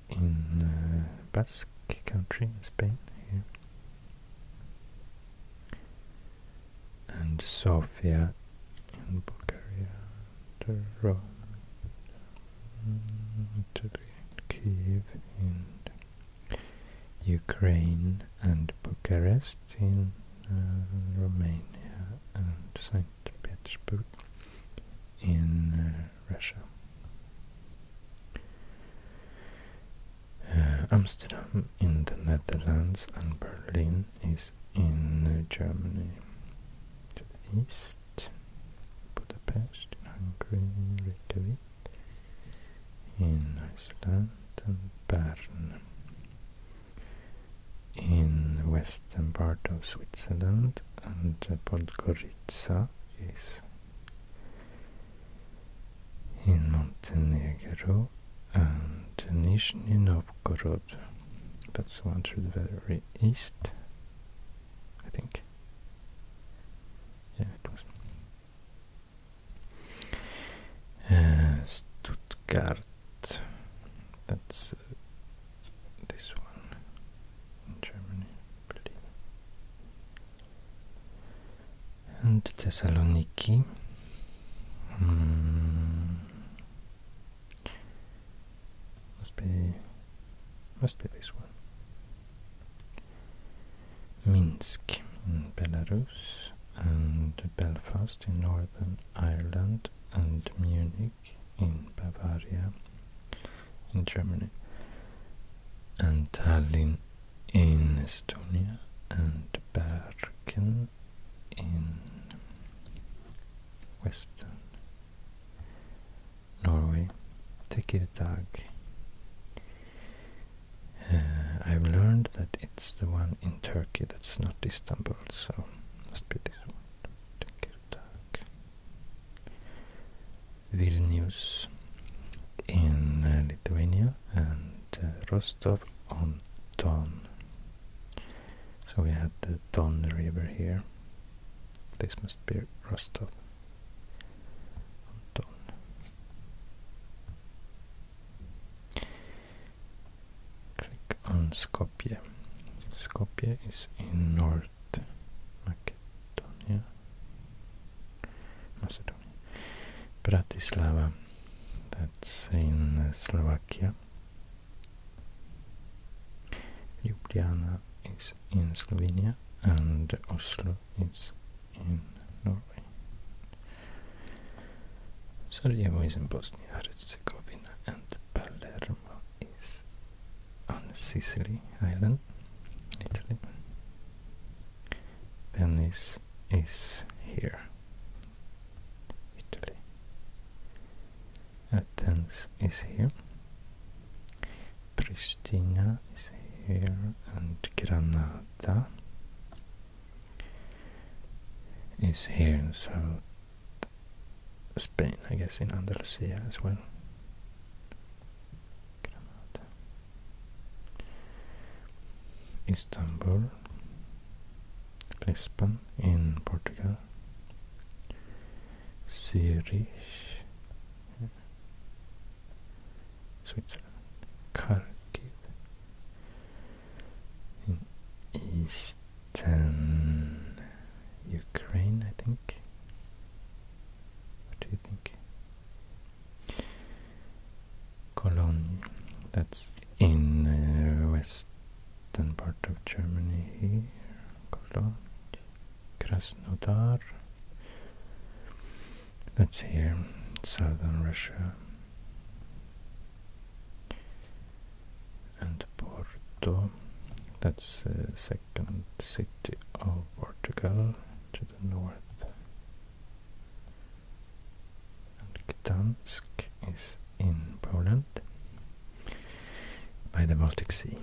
in uh, Basque country Spain here. And Sofia in Bulgaria the road to Kiev in Ukraine and Bucharest in uh, Romania and St. Petersburg in uh, Russia. Uh, Amsterdam in the Netherlands and Berlin is in Germany to the east. Budapest, in Hungary, Reykjavik in Iceland and Bern. In the western part of Switzerland and Podgorica is in Montenegro and Nizhny Novgorod that's one through the very east, I think. Yeah, it was. Uh, Stuttgart. That's uh, this one in Germany, I And Thessaloniki. Hmm. Must be, must be this one. Minsk in Belarus and Belfast in Northern Ireland and Munich in Bavaria in Germany and Tallinn in Estonia and Bergen in Western Norway. Tikirtag. Uh, I've learned that it's the one in Turkey that's not Istanbul, so must be this one. Tikirtag. Vilnius in uh, Lithuania and uh, Rostov on Don. So we had the Don River here this must be Rostov. Anton. Click on Skopje. Skopje is in North Macedonia. Macedonia. Bratislava. That's in Slovakia. Ljubljana is in Slovenia and Oslo is in Norway. Sarajevo is in Bosnia Herzegovina and Palermo is on Sicily Island, Italy. Venice is here, Italy. Athens is here, Pristina is here and Granada is here in South Spain, I guess in Andalusia as well. Istanbul, Lisbon in Portugal, Zurich, Switzerland, Kharkiv, in eastern Ukraine, I think. What do you think? Cologne, that's in uh, western part of Germany here. Cologne. Krasnodar. That's here, southern Russia. And Porto, that's uh, second city of Portugal to the north. And Gdansk is in Poland by the Baltic Sea.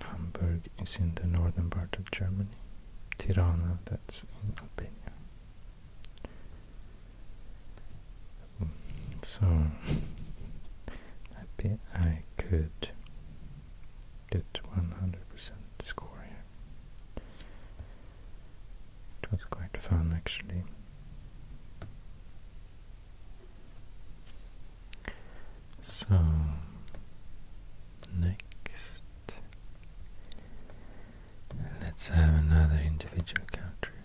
Hamburg is in the northern part of Germany. Tirana, that's in Albania. Mm, so [LAUGHS] I bet I could get 100% score here. It was quite fun actually. So next let's have another individual country.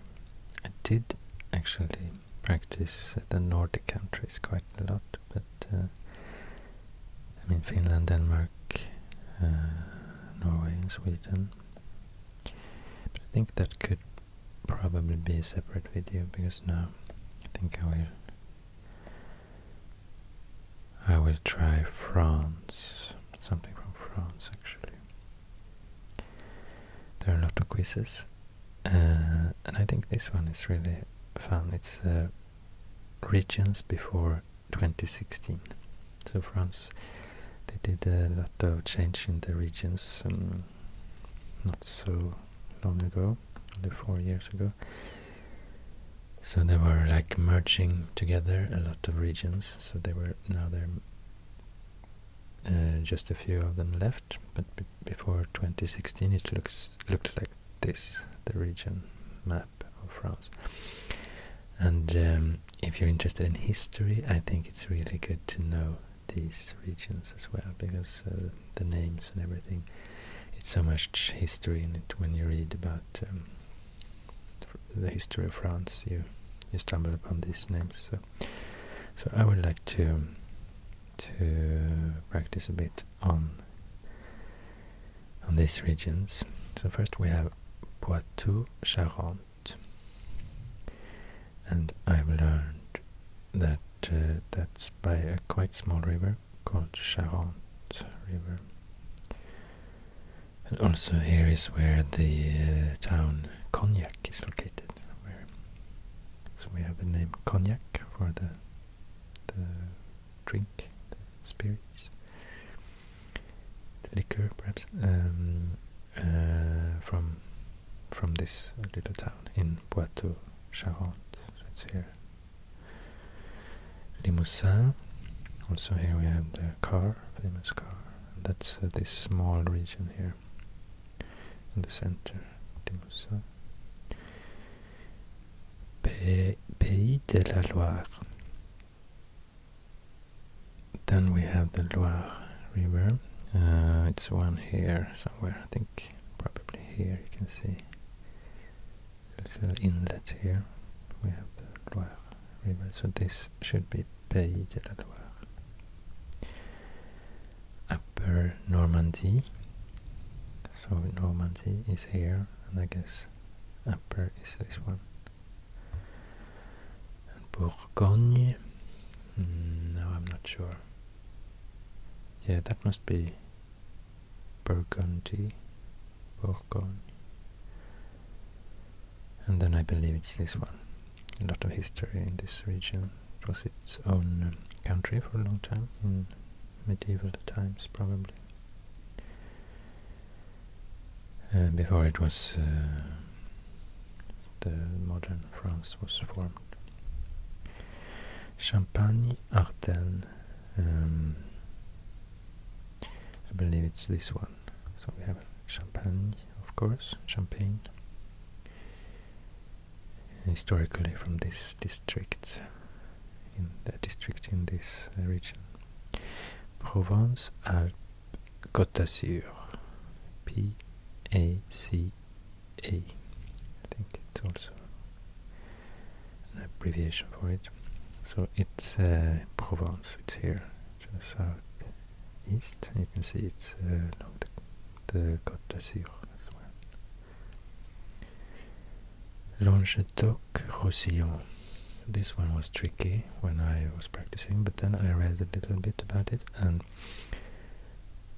I did actually practice the Nordic countries quite a lot, but uh, I mean Finland, Denmark, uh, Norway, and Sweden. But I think that could probably be a separate video because now I think I will I will try France something from France actually there are a lot of quizzes uh, and I think this one is really fun it's uh, regions before 2016 so France they did a lot of change in the regions um, not so long ago, only four years ago. So they were like merging together a lot of regions. So they were now they're uh, just a few of them left. But before 2016, it looks looked like this the region map of France. And um, if you're interested in history, I think it's really good to know these regions as well because uh, the names and everything it's so much history in it when you read about um, the history of France you stumble upon these names so so I would like to um, to practice a bit on on these regions so first we have Poitou Charente and I've learned that uh, that's by a quite small river called Charente River. And also here is where the uh, town Cognac is located. Where so we have the name Cognac for the the drink, the spirits, the liquor perhaps, um, uh, from from this little town in Poitou Charente. So it's here. Limousin. Also here we have the car, famous car. And that's uh, this small region here in the center, Limousin. P Pays de la Loire. Then we have the Loire River. Uh, it's one here somewhere, I think probably here you can see a little inlet here. We have the Loire River, so this should be Pays de la Loire. Upper Normandy, so Normandy is here, and I guess upper is this one. And Bourgogne Mm, no, I'm not sure. Yeah, that must be Burgundy. Bourgogne. And then I believe it's this one. A lot of history in this region. It was its own um, country for a long time, in medieval times probably. Uh, before it was uh, the modern France was formed. Champagne Ardennes. Um, I believe it's this one. So we have Champagne, of course, Champagne. Historically from this district, in the district in this region. Provence Alpes Côte d'Azur. P A C a. I think it's also an abbreviation for it. So it's uh, Provence. It's here just the southeast. You can see it's uh, along the, Côte d'Azur as well. Languedoc Roussillon. This one was tricky when I was practicing, but then I read a little bit about it and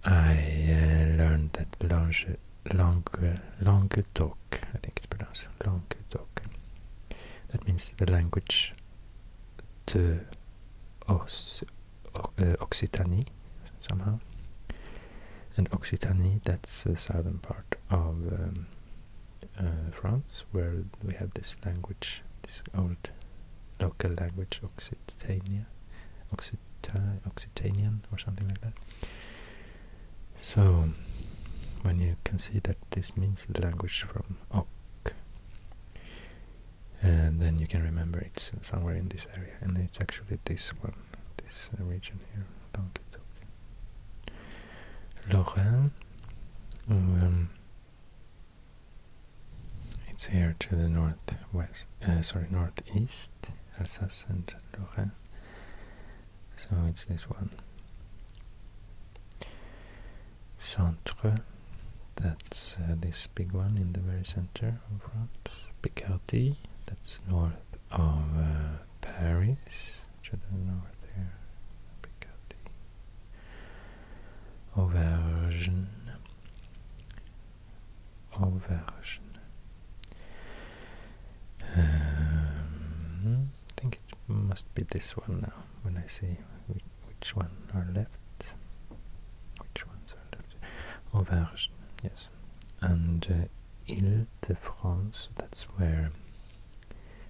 I uh, learned that Lange Languedoc, I think it's pronounced Languedoc. That means the language de Os, uh, Occitanie, somehow. And Occitanie, that's the southern part of um, uh, France, where we have this language, this old local language, Occitania, Occit Occitanian or something like that. So, when you can see that this means the language from Oc, and then you can remember it's somewhere in this area, and it's actually this one, this region here, Languedoc. Um, it's here to the northwest, uh, sorry, northeast. Alsace and Lorraine. So it's this one. Centre, that's uh, this big one in the very center of France. Picardy, that's north of uh, Paris, to the north there. Picardy. Auvergne, Auvergne. Um, I think it must be this one now, when I see which one are left. Which ones are left? Auvergne, yes. And Ile uh, de France, that's where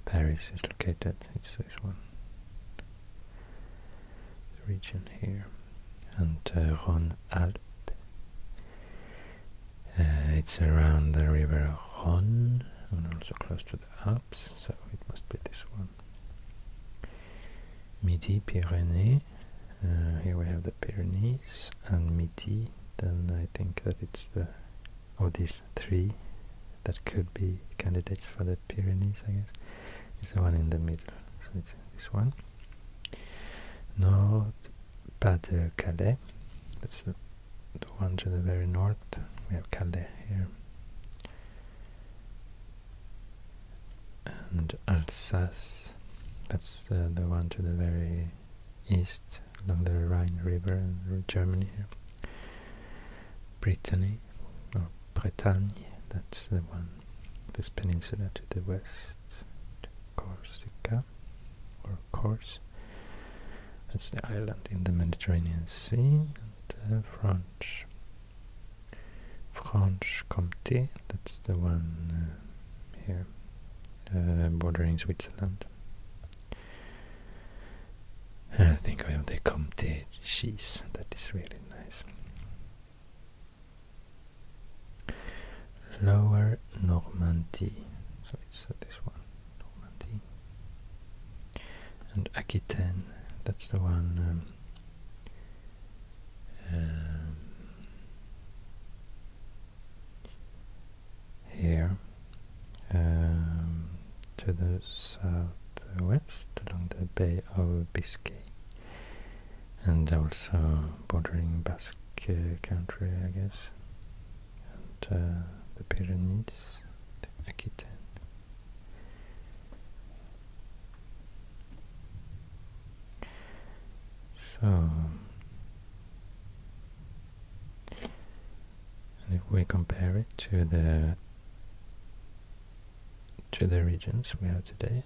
Paris is located. It's this one. The region here and uh, Rhone Alp. Uh, it's around the river Rhone and also close to the Alps, so it must be this one. Midi Pyrenees, uh, here we have the Pyrenees and Midi, then I think that it's the, or these three that could be candidates for the Pyrenees, I guess. It's the one in the middle, so it's this one. No, pas de Calais. That's the, one to the very north. We have Calais here. And Alsace. That's uh, the one to the very east along the Rhine River in Germany Brittany or Bretagne. That's the one this peninsula to the west, Corsica, or Cors. That's the island in the Mediterranean Sea, and uh, French. Franche Comté, that's the one uh, here, uh, bordering Switzerland. I think I have the Comté cheese, that is really nice. Lower Normandy, so it's uh, this one, Normandy, and Aquitaine, that's the one um, um, here um, to the southwest along the Bay of Biscay and also bordering Basque country, I guess, and uh, the Pyrenees, the Aquitaine. So, if we compare it to the to the regions we have today,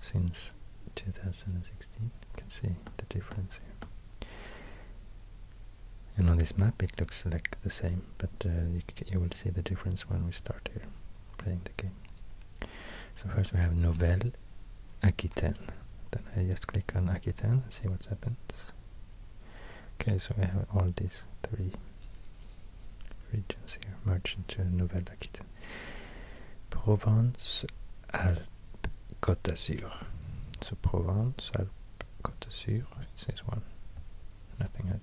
since 2016. You can see the difference here. And on this map it looks like the same, but uh, you, will see the difference when we start here playing the game. So first we have Nouvelle Aquitaine. Then I just click on Aquitaine and see what happens. Okay, so we have all these three regions here merged into Nouvelle Aquitaine. Provence, Alpes, Côte d'Azur. So Provence, Alpes, Côte d'Azur, it's this one. Nothing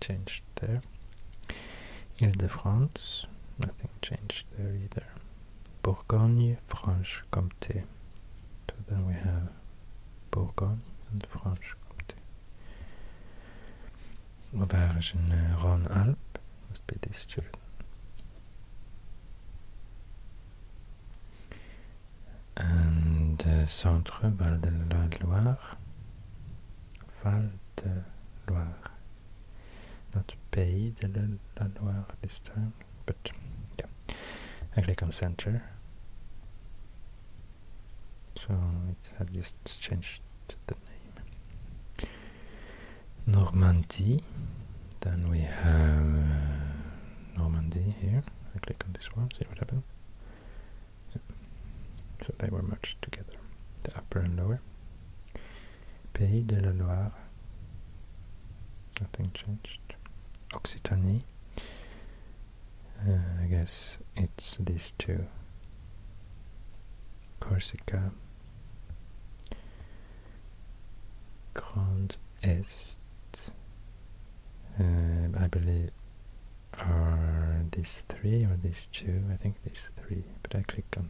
changed there. Ile-de-France, nothing changed there either. Bourgogne, Franche-Comté. So then we have Bourgogne and Franche-Comté. Auvergne, uh, Rhône-Alpes, must be this student. And uh, Centre Val de Loire, Val de Loire, notre Pays de la Loire this time, but yeah. I click on Center, so it had just changed the name. Normandy. Then we have uh, Normandy here. I click on this one, see what happens. So they were merged together, the upper and lower. Pays de la Loire. Nothing changed. Occitanie. Uh, I guess it's these two. Corsica Grand Est, uh, I believe, are these three or these two? I think these three, but I click on,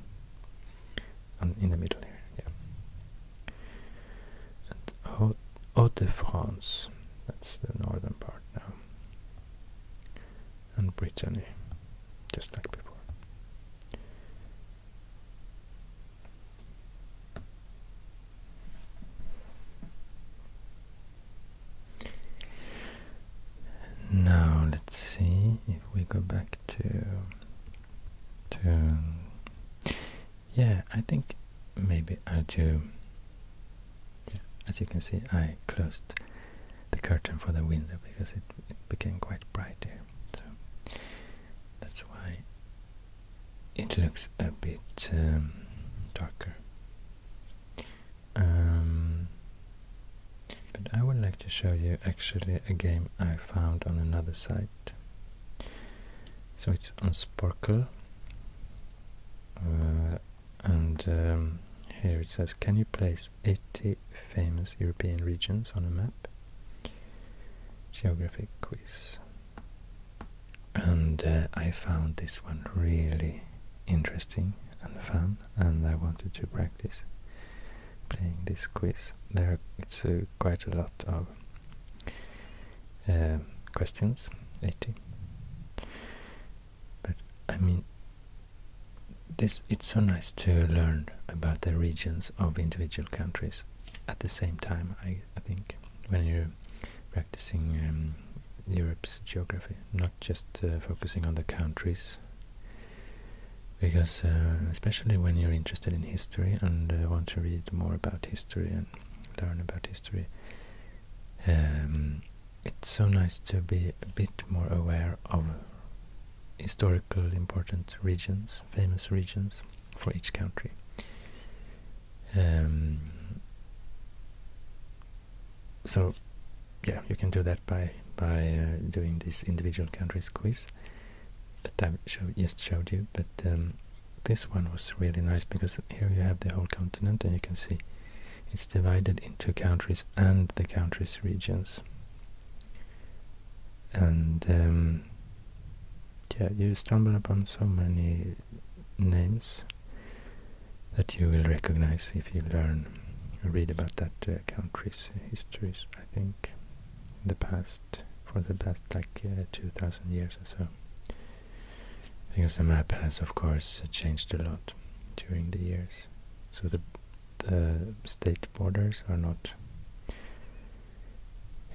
in the middle here. Yeah. And Haut de France, that's the northern part now, and Brittany, just like before. Now let's see if we go back to to yeah I think maybe I'll do as you can see I closed the curtain for the window because it, became quite bright here that's why it looks a bit um, darker. Um, but I would like to show you actually a game I found on another site. So it's on Sparkle. Uh, and um, here it says, can you place 80 famous European regions on a map? Geographic quiz. And uh, I found this one really interesting and fun, and I wanted to practice playing this quiz. There, it's uh, quite a lot of um, questions, 80. But I mean, this it's so nice to learn about the regions of individual countries at the same time, I, I think, when you're practicing um, Europe's geography, not just uh, focusing on the countries. Because, uh, especially when you're interested in history and uh, want to read more about history and learn about history, um, it's so nice to be a bit more aware of historical important regions, famous regions for each country. Um, so, yeah, you can do that by by uh, doing this individual countries quiz that I just showed you. But um, this one was really nice because here you have the whole continent and you can see it's divided into countries and the countries regions and um, yeah, you stumble upon so many names that you will recognize if you learn read about that uh, country's histories, I think, in the past, for the past like uh, 2000 years or so. Because the map has, of course, changed a lot during the years. So the, the state borders are not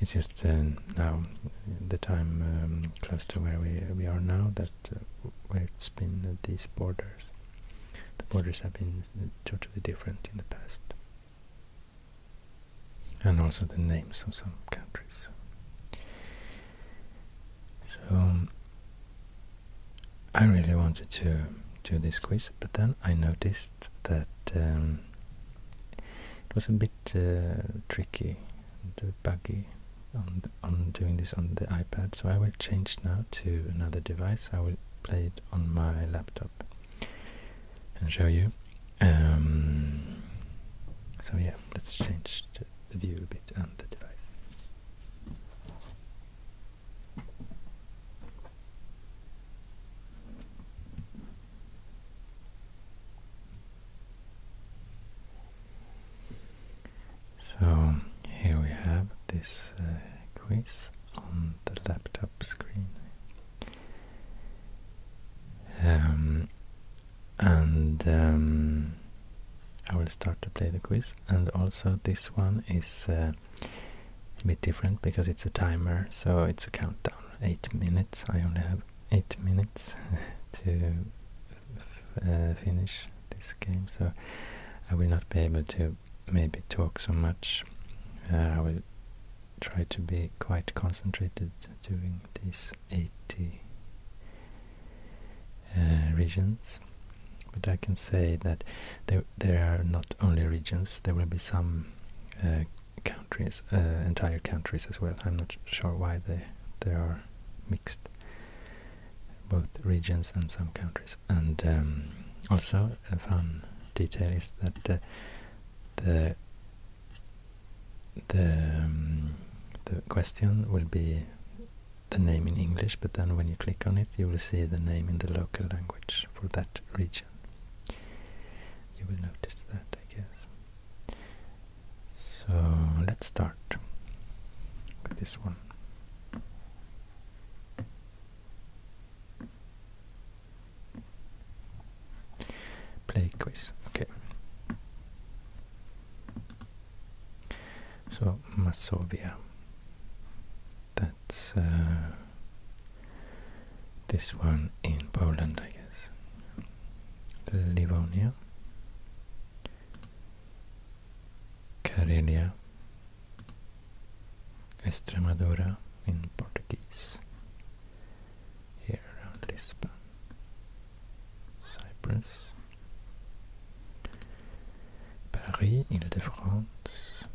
it's just uh, now the time um, close to where we we are now that uh, where it's been uh, these borders. The borders have been totally different in the past, and also the names of some countries. So um, I really wanted to do this quiz, but then I noticed that um, it was a bit uh, tricky, a bit buggy on, the, on doing this on the iPad, so I will change now to another device. I will play it on my laptop and show you. Um, so yeah, let's change the view a bit and the device. So here we have this uh, quiz on the laptop screen. Um, and um, I will start to play the quiz. And also, this one is uh, a bit different because it's a timer, so it's a countdown. Eight minutes. I only have eight minutes [LAUGHS] to uh, finish this game, so I will not be able to maybe talk so much. Uh, I will try to be quite concentrated during these 80 uh, regions. But I can say that there, are not only regions, there will be some countries, uh, entire countries as well. I'm not sure why they they are mixed, both regions and some countries. And um, also a fun detail is that uh, the the um, the question will be the name in English, but then when you click on it, you will see the name in the local language for that region. You will notice that, I guess. So let's start with this one. Play quiz. Okay. So Masovia. That's uh, this one in Poland, I guess. Livonia, Karelia, Extremadura in Portuguese, here around Lisbon, Cyprus, Paris, Ile-de-France,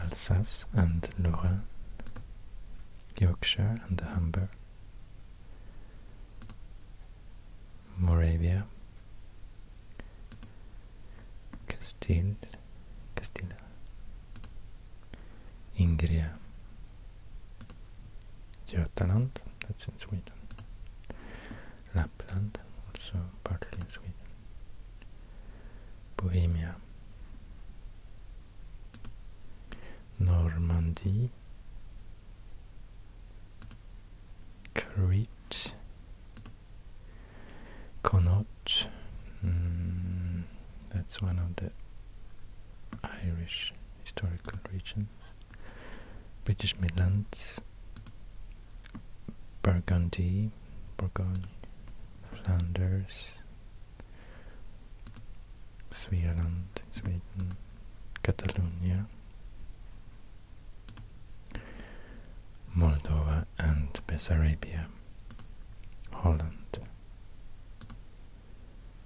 Alsace and Lorraine, Yorkshire and the Humber, Moravia, Castile, Castilla, Ingria, jutland that's in Sweden, Lapland, also partly in Sweden, Bohemia, Normandy, Crete, Connaught, hmm, that's one of the Irish historical regions, British Midlands, Burgundy, Burgundy, Flanders, Svealand Sweden, Catalonia, Moldova and Bessarabia, Holland,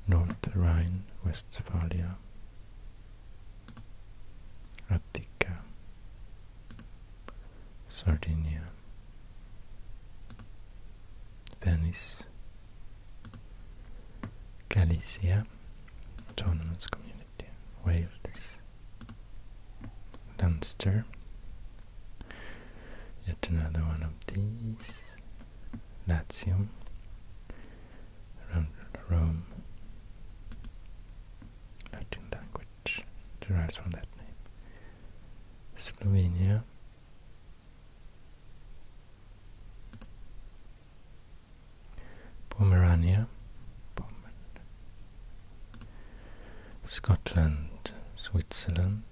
North Rhine-Westphalia, Attica, Sardinia, Venice, Galicia, Autonomous Community, Wales, Dunster. yet another one of these, Latium, around Rome, Latin language derives from that name. Slovenia Pomerania Scotland, Switzerland,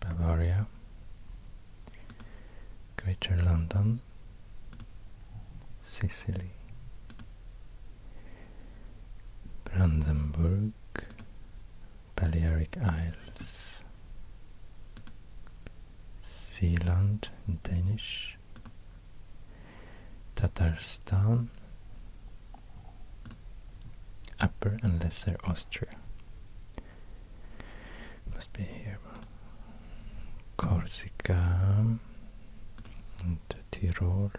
Bavaria, Greater London, Sicily, Brandenburg, Balearic Isles, Sealand Danish, Tatarstan, Upper and Lesser Austria. Must be here. Corsica and Tyrol.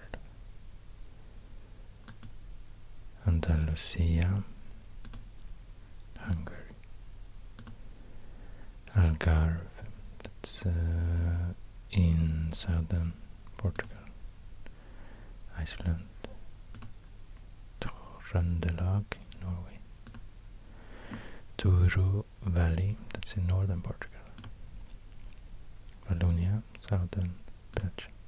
Andalusia, Hungary, Algarve, that's uh, in southern Portugal, Iceland, Trondelag, Norway, Douro Valley, that's in northern Portugal, Valonia, southern Belgium.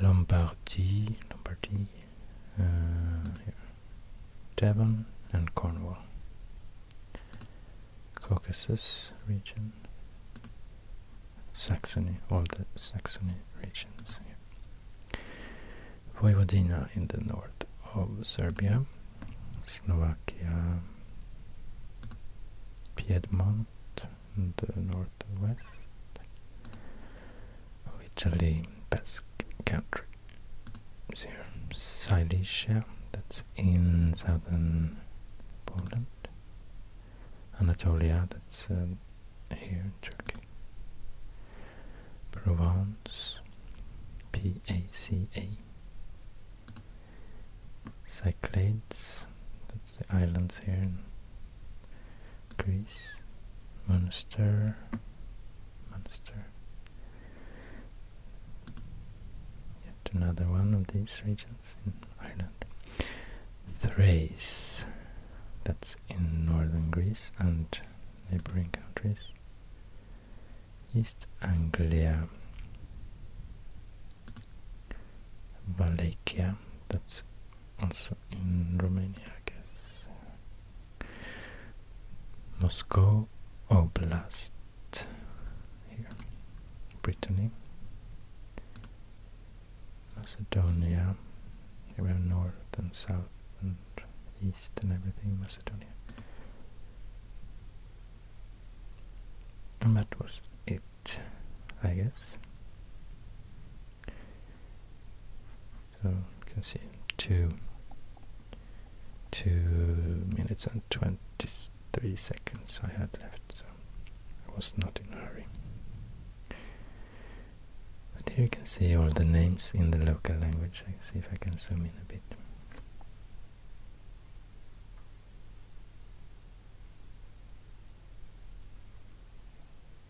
Lombardy, Lombardy, uh, Devon and Cornwall, Caucasus region, Saxony, all the Saxony regions here. Vojvodina in the north of Serbia, Slovakia, Piedmont in the north southwest of oh, Italy, Basque country. Here, Silesia, that's in southern Poland. Anatolia, that's um, here in Turkey. Provence, P-A-C-A. Cyclades, that's the islands here Greece, Munster, Munster. Yet another one of these regions in Ireland. Thrace, that's in northern Greece and neighboring countries. East Anglia, Wallachia, that's also in Romania, I guess. Moscow Oblast here, Brittany, Macedonia. around north and south and east and everything, Macedonia. And that was it, I guess. So you can see two two minutes and twenty three seconds I had left, so I was not in a hurry. But here you can see all the names in the local language. I see if I can zoom in a bit.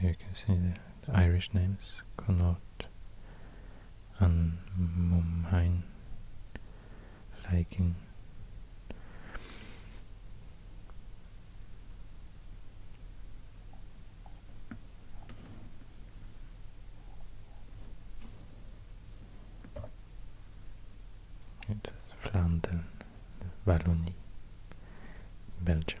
Here you can see the, Irish names, Connaught and Mumhain, Leikin. It is Flanders, Wallonia, Belgium.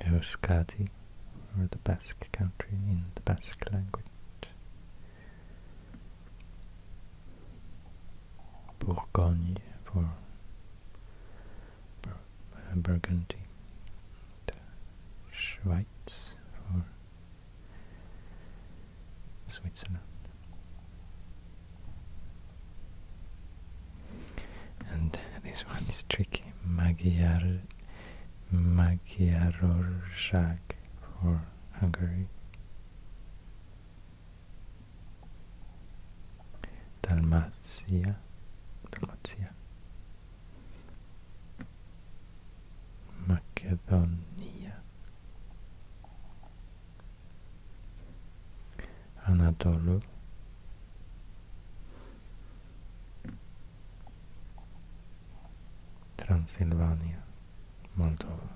Euskadi, or the Basque country in the Basque language. Bourgogne for uh, Burgundy. Schweiz for Switzerland. And this one is tricky. Magyar Magyarország for Hungary. Dalmatia. Dalmatia. Macedonia. Anatolia. Transylvania, Moldova.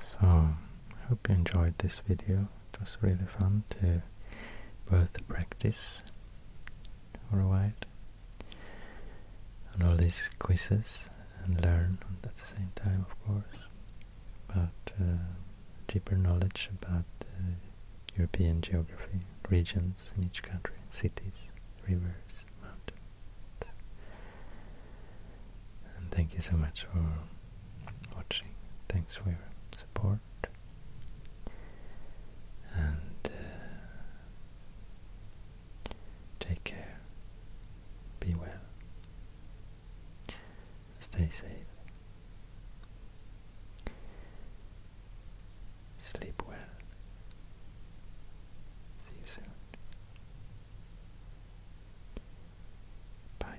So, I hope you enjoyed this video it was really fun to both practice for a while and all these quizzes and learn at the same time, of course, about uh, deeper knowledge about uh, European geography, regions in each country, cities, rivers, mountains. And thank you so much for watching. Thanks for your support and uh, take care, be well, stay safe, sleep well, see you soon, bye.